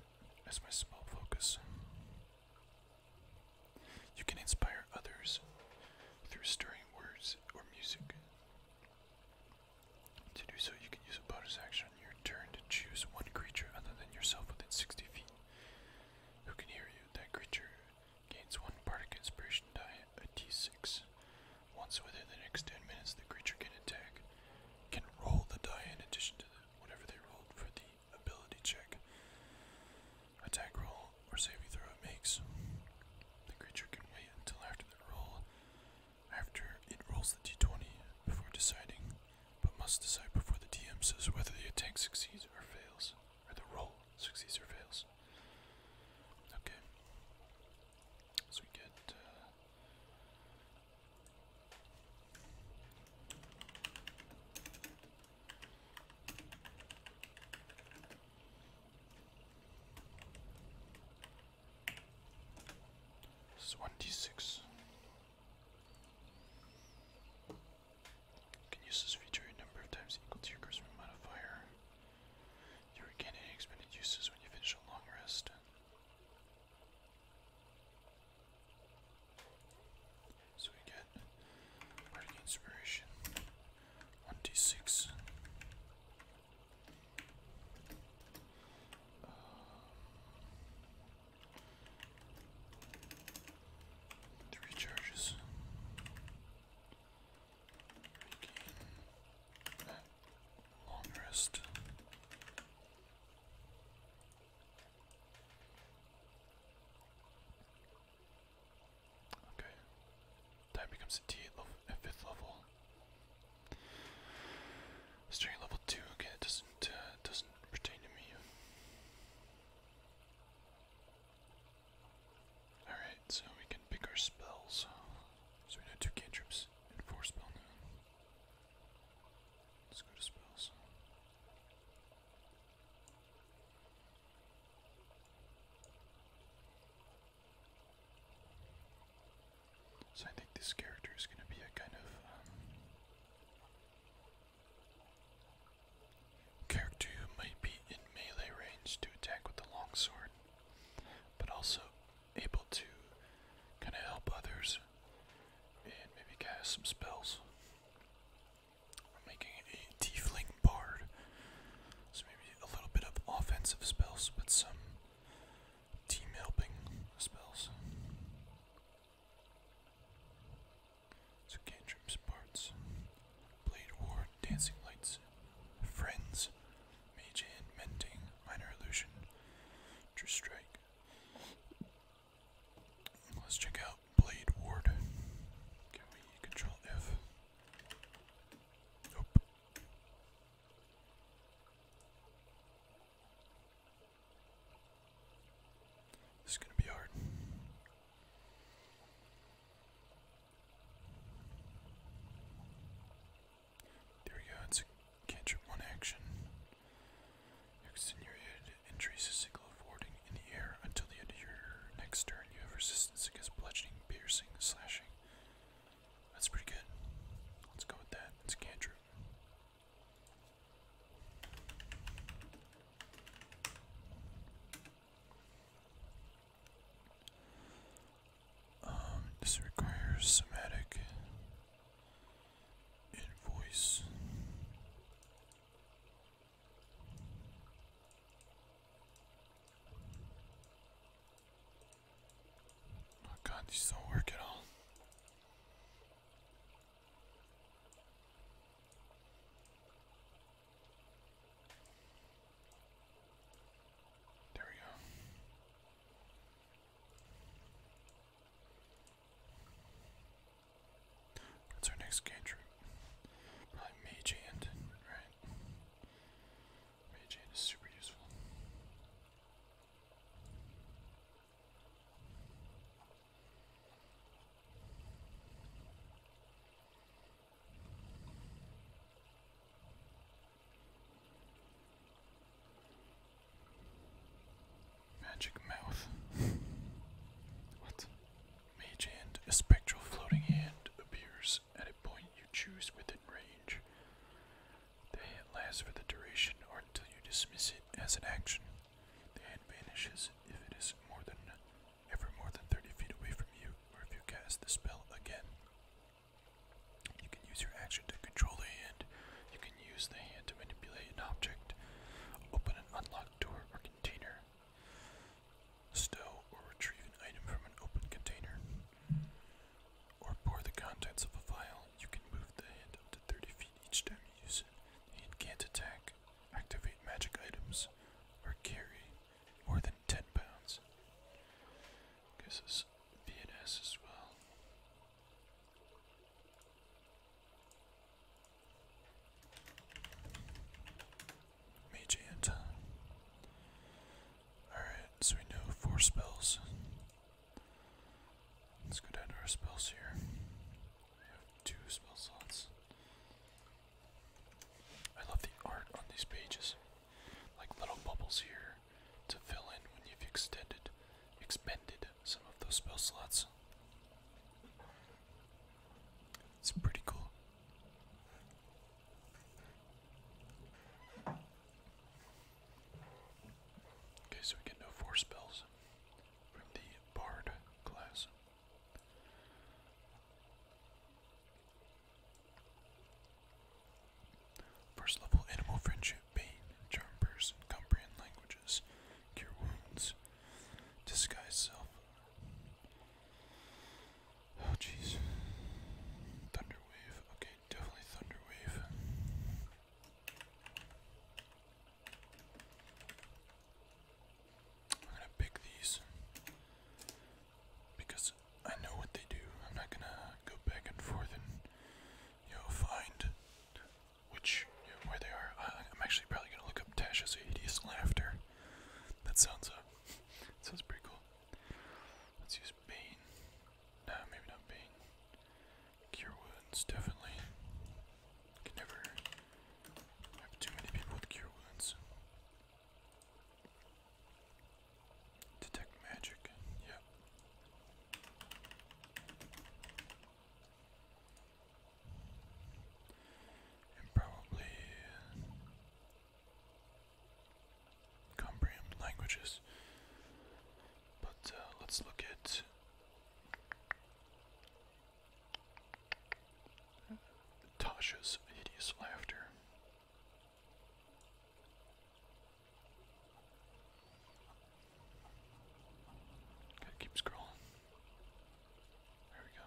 as my spell focus. You can inspire others through stirring words or music. To do so, you can use a bonus action on your turn to choose one creature other than yourself within 60 feet. Who can hear you? That creature gains one bardic inspiration die, a d6. Once within the next 10 minutes, the creature can attack, can roll the die in addition to whatever they rolled for the ability check attack roll or saving throw makes. The creature can wait until after the roll, after it rolls the d20 before deciding, but must decide before the DM says whether the attack succeeds or fails, or the roll succeeds or fails. Okay. So we get. Uh, it's one D six. You can use this feature a number of times equal to your cursor modifier. You regain any expended uses when you finish a long rest. So we get Bardic Inspiration 1d6. Um, three charges. Long rest. Okay. Time becomes a D8 level at fifth level. String level two again. It doesn't uh, doesn't pertain to me. All right, so we can pick our spells. So we know two cantrips and four spell Let's go to spells. So I think this character is going to be a kind of um, character who might be in melee range to attack with the longsword, but also able to kind of help others and maybe cast some spells. We're making a tiefling bard. So maybe a little bit of offensive spells, but some team helping spells. So cantrips, parts, blade ward, dancing lights, friends, mage hand, mending, minor illusion, true strike. Let's check out blade ward. Can we control F? Nope. This is going to be hard. There we go, it's a one action. Extenuated increases signal of warding in the air until the end of your next turn. You have resistance against bludgeoning, piercing, slashing. That's pretty good. Let's go with that. It's cantrip. Um, this requires somatic invoice. Oh my god, these don't work at all. There we go. What's our next game Probably Mage Hand, right? Ray is super useful. Magic mouth. what? Mage Hand. A spectral floating hand appears at a point you choose within range. The hand lasts for the duration or until you dismiss it as an action. The hand vanishes if it is more than ever more than 30 feet away from you, or if you cast the spell again. You can use your action to control the hand. You can use the hand to manipulate an object, open an unlocked door or container stow or retrieve an item from an open container, or pour the contents of a vial, you can move the hand up to 30 feet each time you use it. The hand can't attack, activate magic items, or carry more than 10 pounds. Guess it's VNS as well. Magiant. Alright, so we know four spells. Let's go down to our spells here. We have two spell slots. I love the art on these pages. Like little bubbles here to fill in when you've extended expended some of those spell slots. It's pretty cool. Okay, so we get no four spells from the Bard class. First level animal friendship, pain, charm person, comprehend languages, cure wounds, disguise self. Oh jeez. Thunderwave. Okay, definitely Thunderwave. I'm gonna pick these because I know what they do. I'm not gonna go back and forth and you know find which where they are. I'm actually probably gonna look up Tasha's hideous laughter. That sounds uh, sounds pretty cool. Let's use Bane. No, maybe not Bane. Cure Wounds, definitely. Can never have too many people with Cure Wounds. Detect Magic, yep. And probably comprehend languages. But uh, let's look at Tasha's hideous laughter. Gotta keep scrolling. There we go.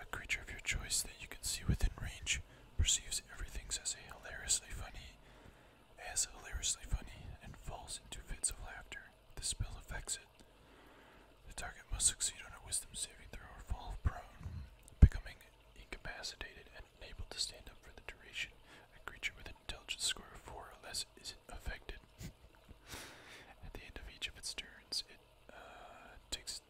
A creature of your choice that you can see within range perceives everything as a hilariously funny, as hilariously funny, and falls into fits of laughter. The spell affects it. The target must succeed on a wisdom saving throw or fall prone, becoming incapacitated and unable to stand up for the duration. A creature with an intelligence score of four or less is affected. At the end of each of its turns, uh, takes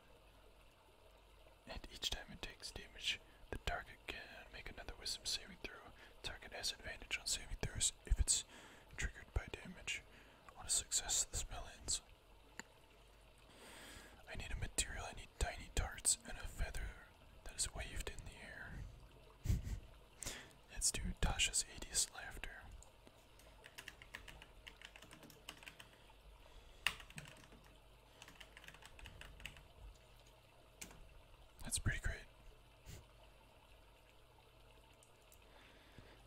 and each time it takes damage, the target can make another wisdom saving throw. Target has advantage on saving throws if it's triggered by damage. On a success, the spell ends. I need a material, I need tiny darts and a feather that is waved in the air. Let's do Tasha's 80s laughter. That's pretty great.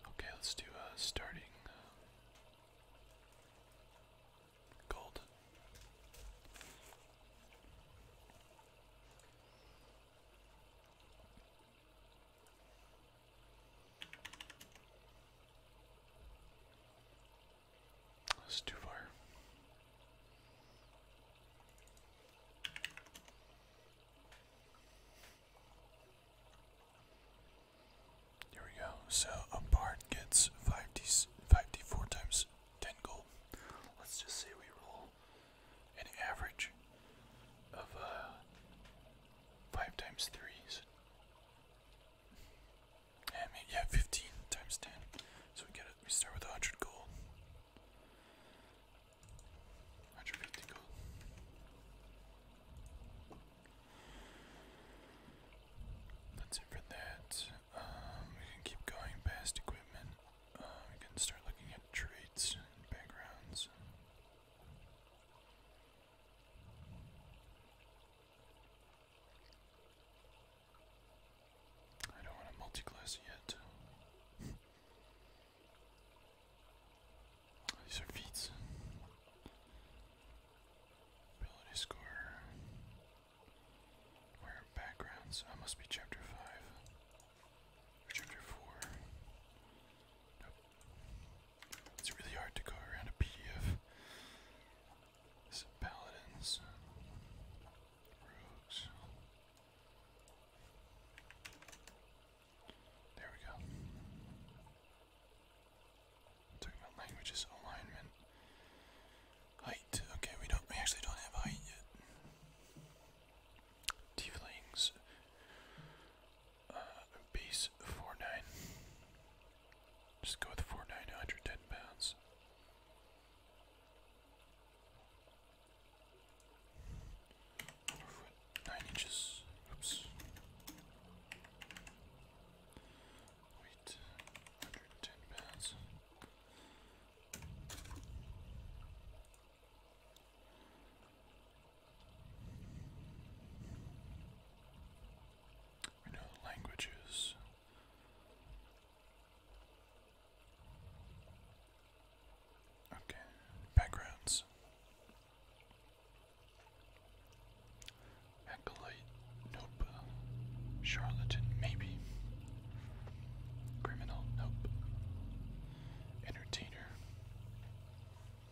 Okay, let's do a uh, starting uh, gold. That's too far. Here we go. So a bard gets 5d, 5d4 times 10 gold. Let's just say we roll an average of uh, 5 times 3 is. Yeah, 15 times 10. So we get it. We start with 100 gold. 150 gold. That's it for that. Um, we can keep going past equipment. Uh, we can start looking at traits and backgrounds. I don't want to multi yet. These are feats. Ability score. Where backgrounds? I must be chapter five. chapter four. It's really hard to go around a PDF. Some paladins, rogues. There we go. talking about languages alignment. Height. Okay, we don't. We actually don't have height yet. Tieflings uh, base four nine. Just go with four nine hundred ten pounds. nine inches. Oops. Wait, hundred ten pounds. We know languages. Okay, backgrounds. Acolyte, nope. Charlatan, maybe. Criminal, nope. Entertainer,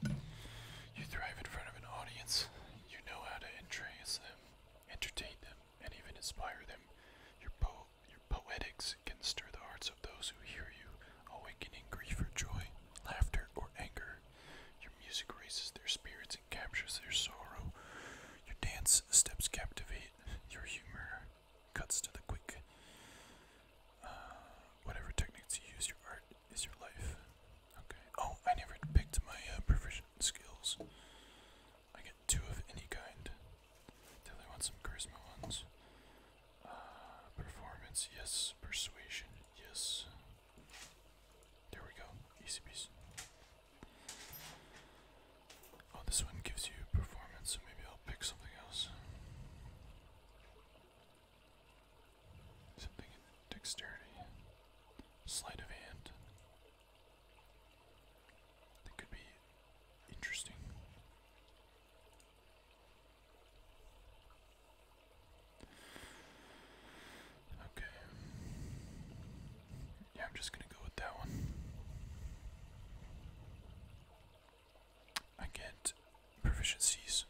you thrive in front of an audience. You know how to entrace them, entertain them, and even inspire them. Your, poetics can stir the hearts of those who hear you, awakening grief or joy, laughter or anger. Your music raises their spirits and captures their sorrow. Your dance steps captivate. Your humor cuts to the quick. Uh, whatever techniques you use, your art is your life. Okay. Oh, I never picked my uh, skills. I get two of any kind. Definitely want some charisma ones. Uh, performance, yes. Persuasion, yes. There we go. Easy Oh, this one gives you performance, maybe I'll pick something else. Something in dexterity. Sleight of hand. That could be interesting. Okay. Yeah, I'm just gonna go with that one. I get proficiencies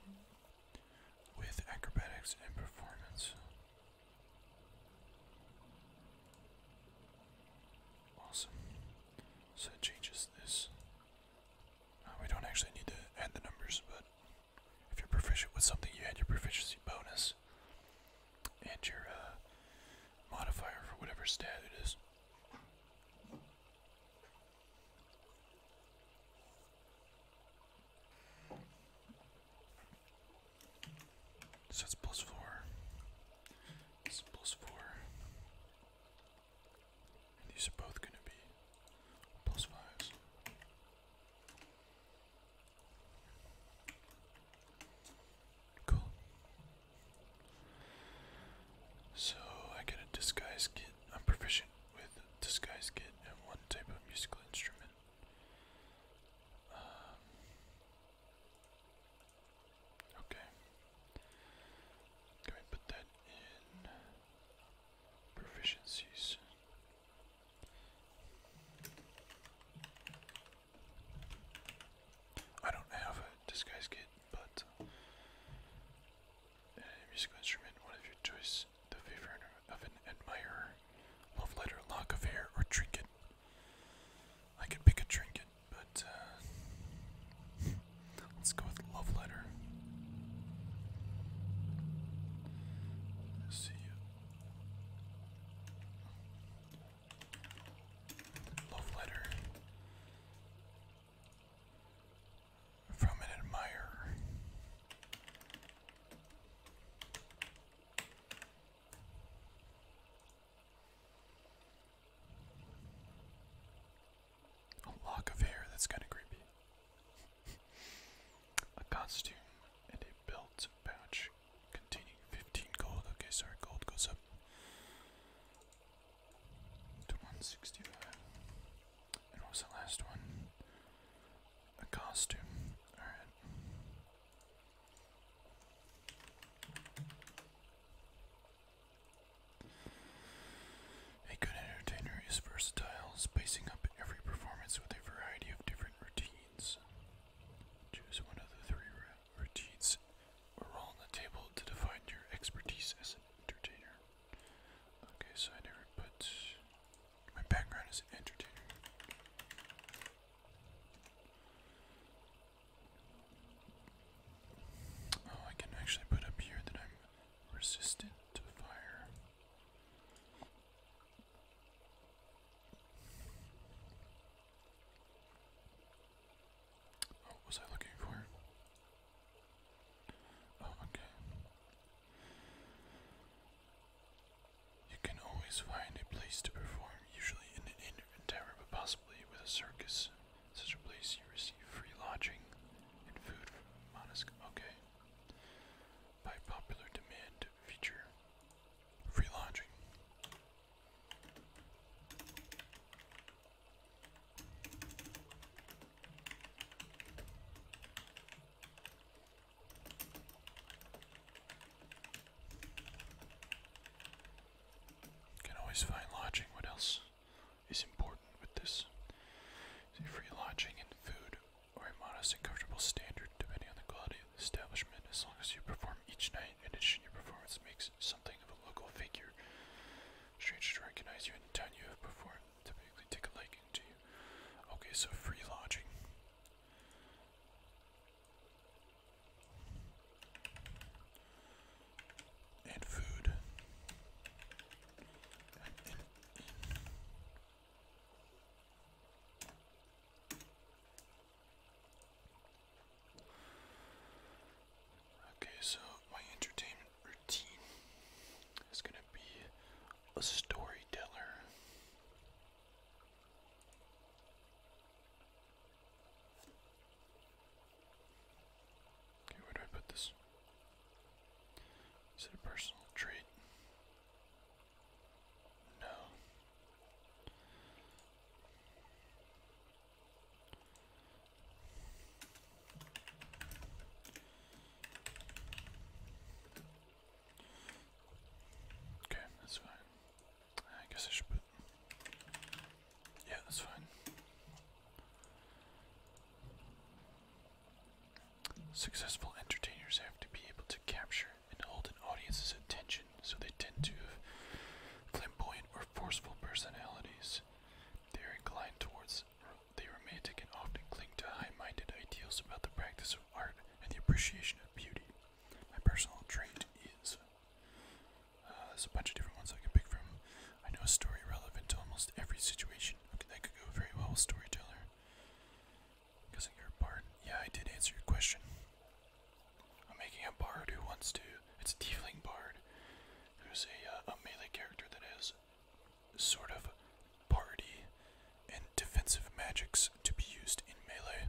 with acrobatics and performance. Awesome. So it changes this. Uh, we don't actually need to add the numbers, but if you're proficient with something, you add your proficiency bonus and your uh, modifier for whatever stat it is. So it's plus four. It's plus four. these are both gonna be plus fives. Cool. So I get a disguise kit. I'm proficient each with disguise kit and one type of musical instrument. Um, okay. Can we put that in proficiencies? I don't have a disguise kit, but a musical instrument, of your choice the favorite of an admirer. Love letter, lock of hair, or trinket. I could pick a trinket, but uh, let's go with love letter. Let's Love letter from an admirer. A lock of hair, that's kind of creepy. a costume and a belt pouch containing 15 gold. Okay, sorry, gold goes up to 165. And what was the last one? A costume. Alright. A good entertainer is versatile, spicing up every performance with a variety of different routines. Choose one of the three routines or roll on the table to define your expertise as an entertainer. Okay, so I never put. My background is an entertainer. Oh, I can actually put up here that I'm resistant to fire. what oh, was I looking for? Oh, okay. You can always find a place to perform, usually in an inn tent tavern, but possibly with a circus. such a place, you receive free lodging and food from Monasco. Okay. By popular demand, feature free lodging. Can always find lodging. What else is important with this? free lodging and food or a modest and comfortable standard depending on the quality of the establishment as long as you perform each night and addition your performance makes something of a local figure. Strangers recognize you in the town you have performed, typically take a liking to you. Okay, so free lodging and food. Okay, so my entertainment routine is gonna be a storyteller. Okay, where do I put this? Is it a personal trait? No. Okay, that's fine. I guess I should Yeah, that's fine. Successful entertainers have to be able to capture and hold an audience's attention, so they tend to have flamboyant or forceful personalities. They are inclined towards the romantic and often cling to high minded ideals about the practice of art and the appreciation of beauty. My personal trait is. Uh, there's a bunch of different ones I can pick from. I know a story relevant to almost every situation. that could go very well with storyteller. Because you're a Yeah, I did answer your question. I'm making a bard who wants to. It's a tiefling bard who's a, uh, a melee character that sort of party, and defensive magics to be used in melee.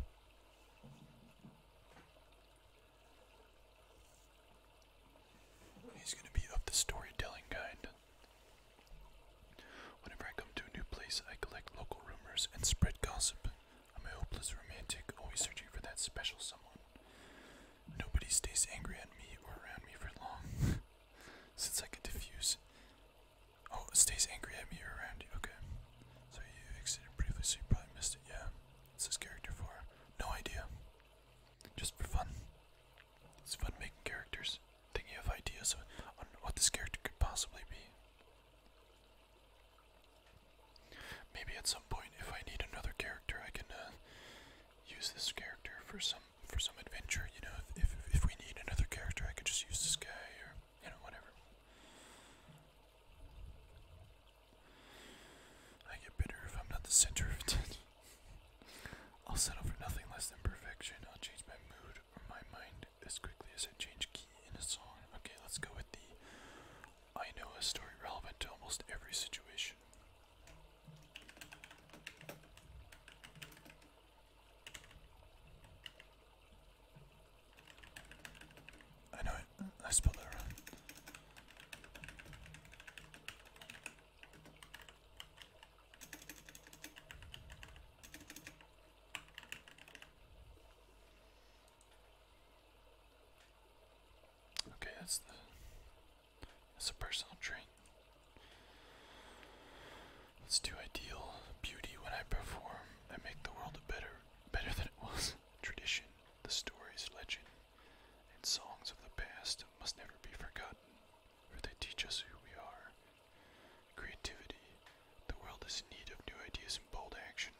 He's going to be of the storytelling kind. Whenever I come to a new place, I collect local rumors and spread gossip. I'm a hopeless romantic, always searching for that special someone. Nobody stays angry at me or around me for long, since I can diffuse Oh, it stays angry at me around you. Okay. So you exited briefly, so you probably missed it. Yeah. What's this character for? No idea. Just for fun. It's fun making characters, thinking of ideas on what this character could possibly be. Maybe at some point, if I need another character, I can uh, use this character for some for some adventure. You know, if if, we need another character, I could just use this guy or you know, whatever. I get bitter if I'm not the center of attention. I'll settle for nothing less than perfection. I'll change my mood or my mind as quickly as I change key in a song. Okay, let's go with the I know a story relevant to almost every situation. I know it. I spelled that wrong. Okay, that's that's a personal trait. Let's do ideal beauty when I perform. I make the world a better better than it was. Tradition, the stories, legend, and songs of the past must never be forgotten, for they teach us who we are. Creativity. The world is in need of new ideas and bold action.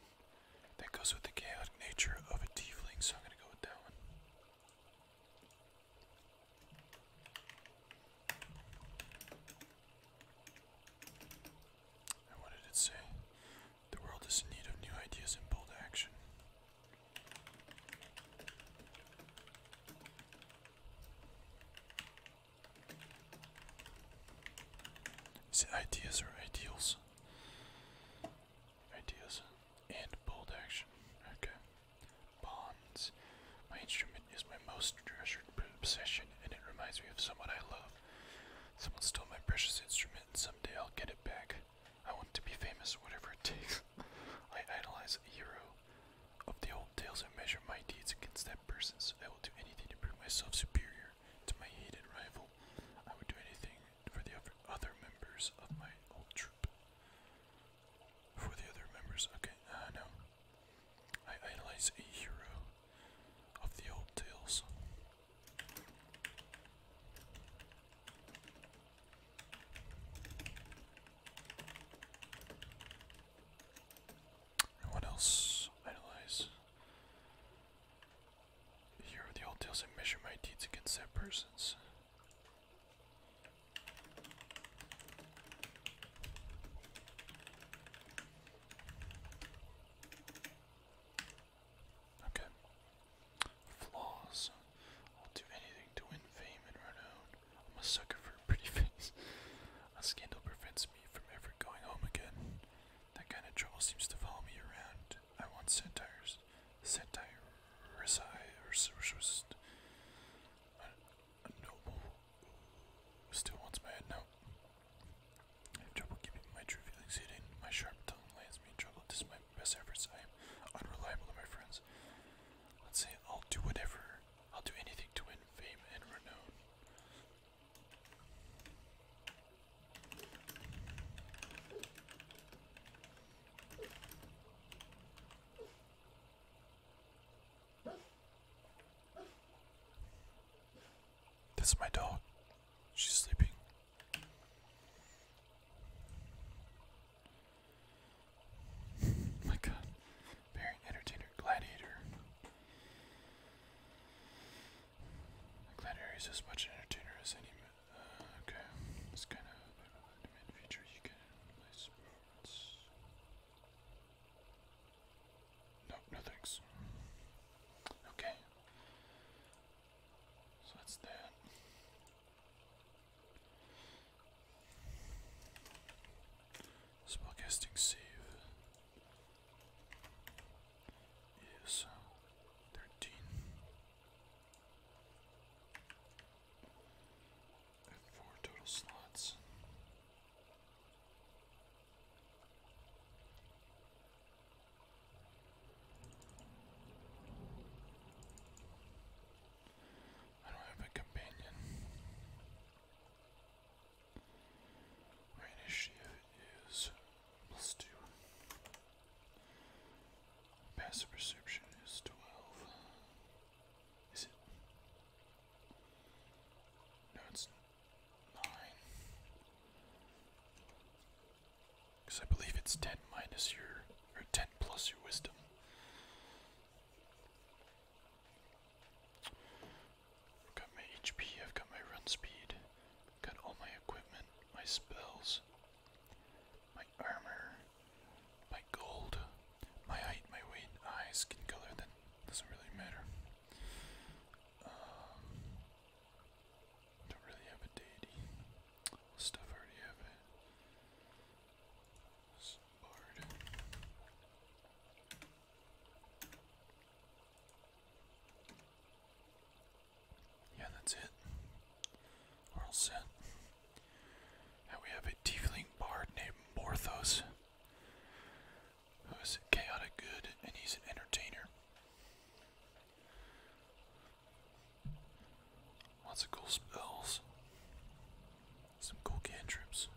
That goes with the chaotic nature of a tiefling, so I'm gonna go with that one. And what did say? The world is in need of new ideas and bold action. Is ideas or ideals? Ideas and bold action. Okay. Bonds. My instrument is my most treasured possession, and it reminds me of someone I love. Someone stole my precious instrument, and someday I'll get it back. I want to be famous, whatever it takes. I idolize a hero. Of the old tales, and measure my deeds against that person's. I will do anything to prove myself superior to my hated rival. I would do anything for the other members of my old troop. For the other members, okay, uh, no. I idolize a hero of the old tales. what else idolize? A hero of the old tales, I measure my deeds against that person's. Okay. Flaws. I'll do anything to win fame and renown. I'm a sucker for a pretty face. A scandal prevents me from ever going home again. That kind of trouble seems to follow me around. I want centaurs. Satire. Reside. Or a noble. Still wants my head now. I have trouble keeping my true feelings hidden. My sharp tongue lands me in trouble. Despite my best efforts, I am unreliable to my friends. Let's say I'll do whatever. I'll do anything to win fame and renown. That's my dog. She's sleeping. Oh my god. Very entertainer. Gladiator. gladiator is as much entertainer as any. Uh, okay. It's kind of a feature you can no, no thanks. Okay. So that's that. Spellcasting save is uh, thirteen. four total slots. I don't have a companion. initiative is plus two. Passive perception is twelve. Is it? No, it's nine. Because I believe it's ten minus your, or ten plus your wisdom. got my HP, I've got my run speed, got all my equipment, my spells, my armor, my gold, my height, my weight, eyes, skin color, that doesn't really matter don't really have a deity. Stuff already have it. Yeah, that's it. We're all set. Now we have a tiefling bard named Morthos who is a chaotic good and he's an entertainer. Lots of cool spells. Some cool cantrips.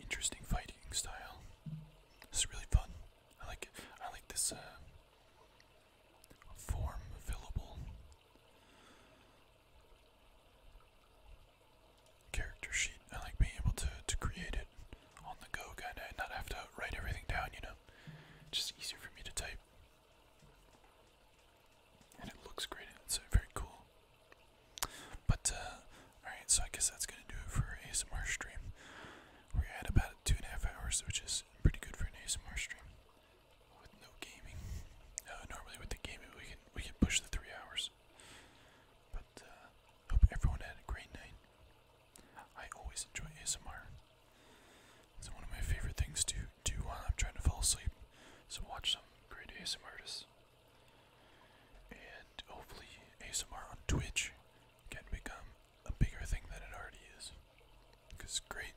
Interesting fighting style. This is really fun. I like I like this uh, form available character sheet. I like being able to, to create it on the go, kinda, and not have to write everything down, you know? Just easier for me to type. And it looks great, it's very cool. But, uh, alright, so I guess that's gonna do it for ASMR stream. We're at about two and a half hours, which is pretty good for an ASMR stream. With no gaming. Uh, normally with the gaming we can we can push the three hours. But uh, hope everyone had a great night. I always enjoy ASMR. It's one of my favorite things to do while I'm trying to fall asleep. So watch some great ASMR artists. And hopefully ASMR on Twitch can become a bigger thing than it already is. Because great.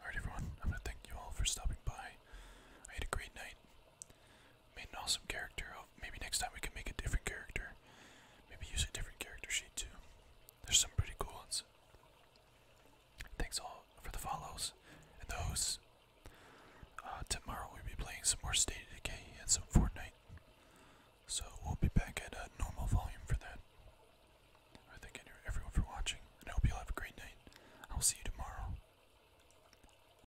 Alright everyone, I'm gonna thank you all for stopping by. I had a great night. Made an awesome character. Oh, maybe next time we can make a different character. Maybe use a different character sheet too. There's some pretty cool ones. Thanks all for the follows and the uh, tomorrow we'll be playing some more State and some Fortnite. So we'll be back at normal volume for that. I thank everyone for watching, I hope you all have a great night. I will see you tomorrow.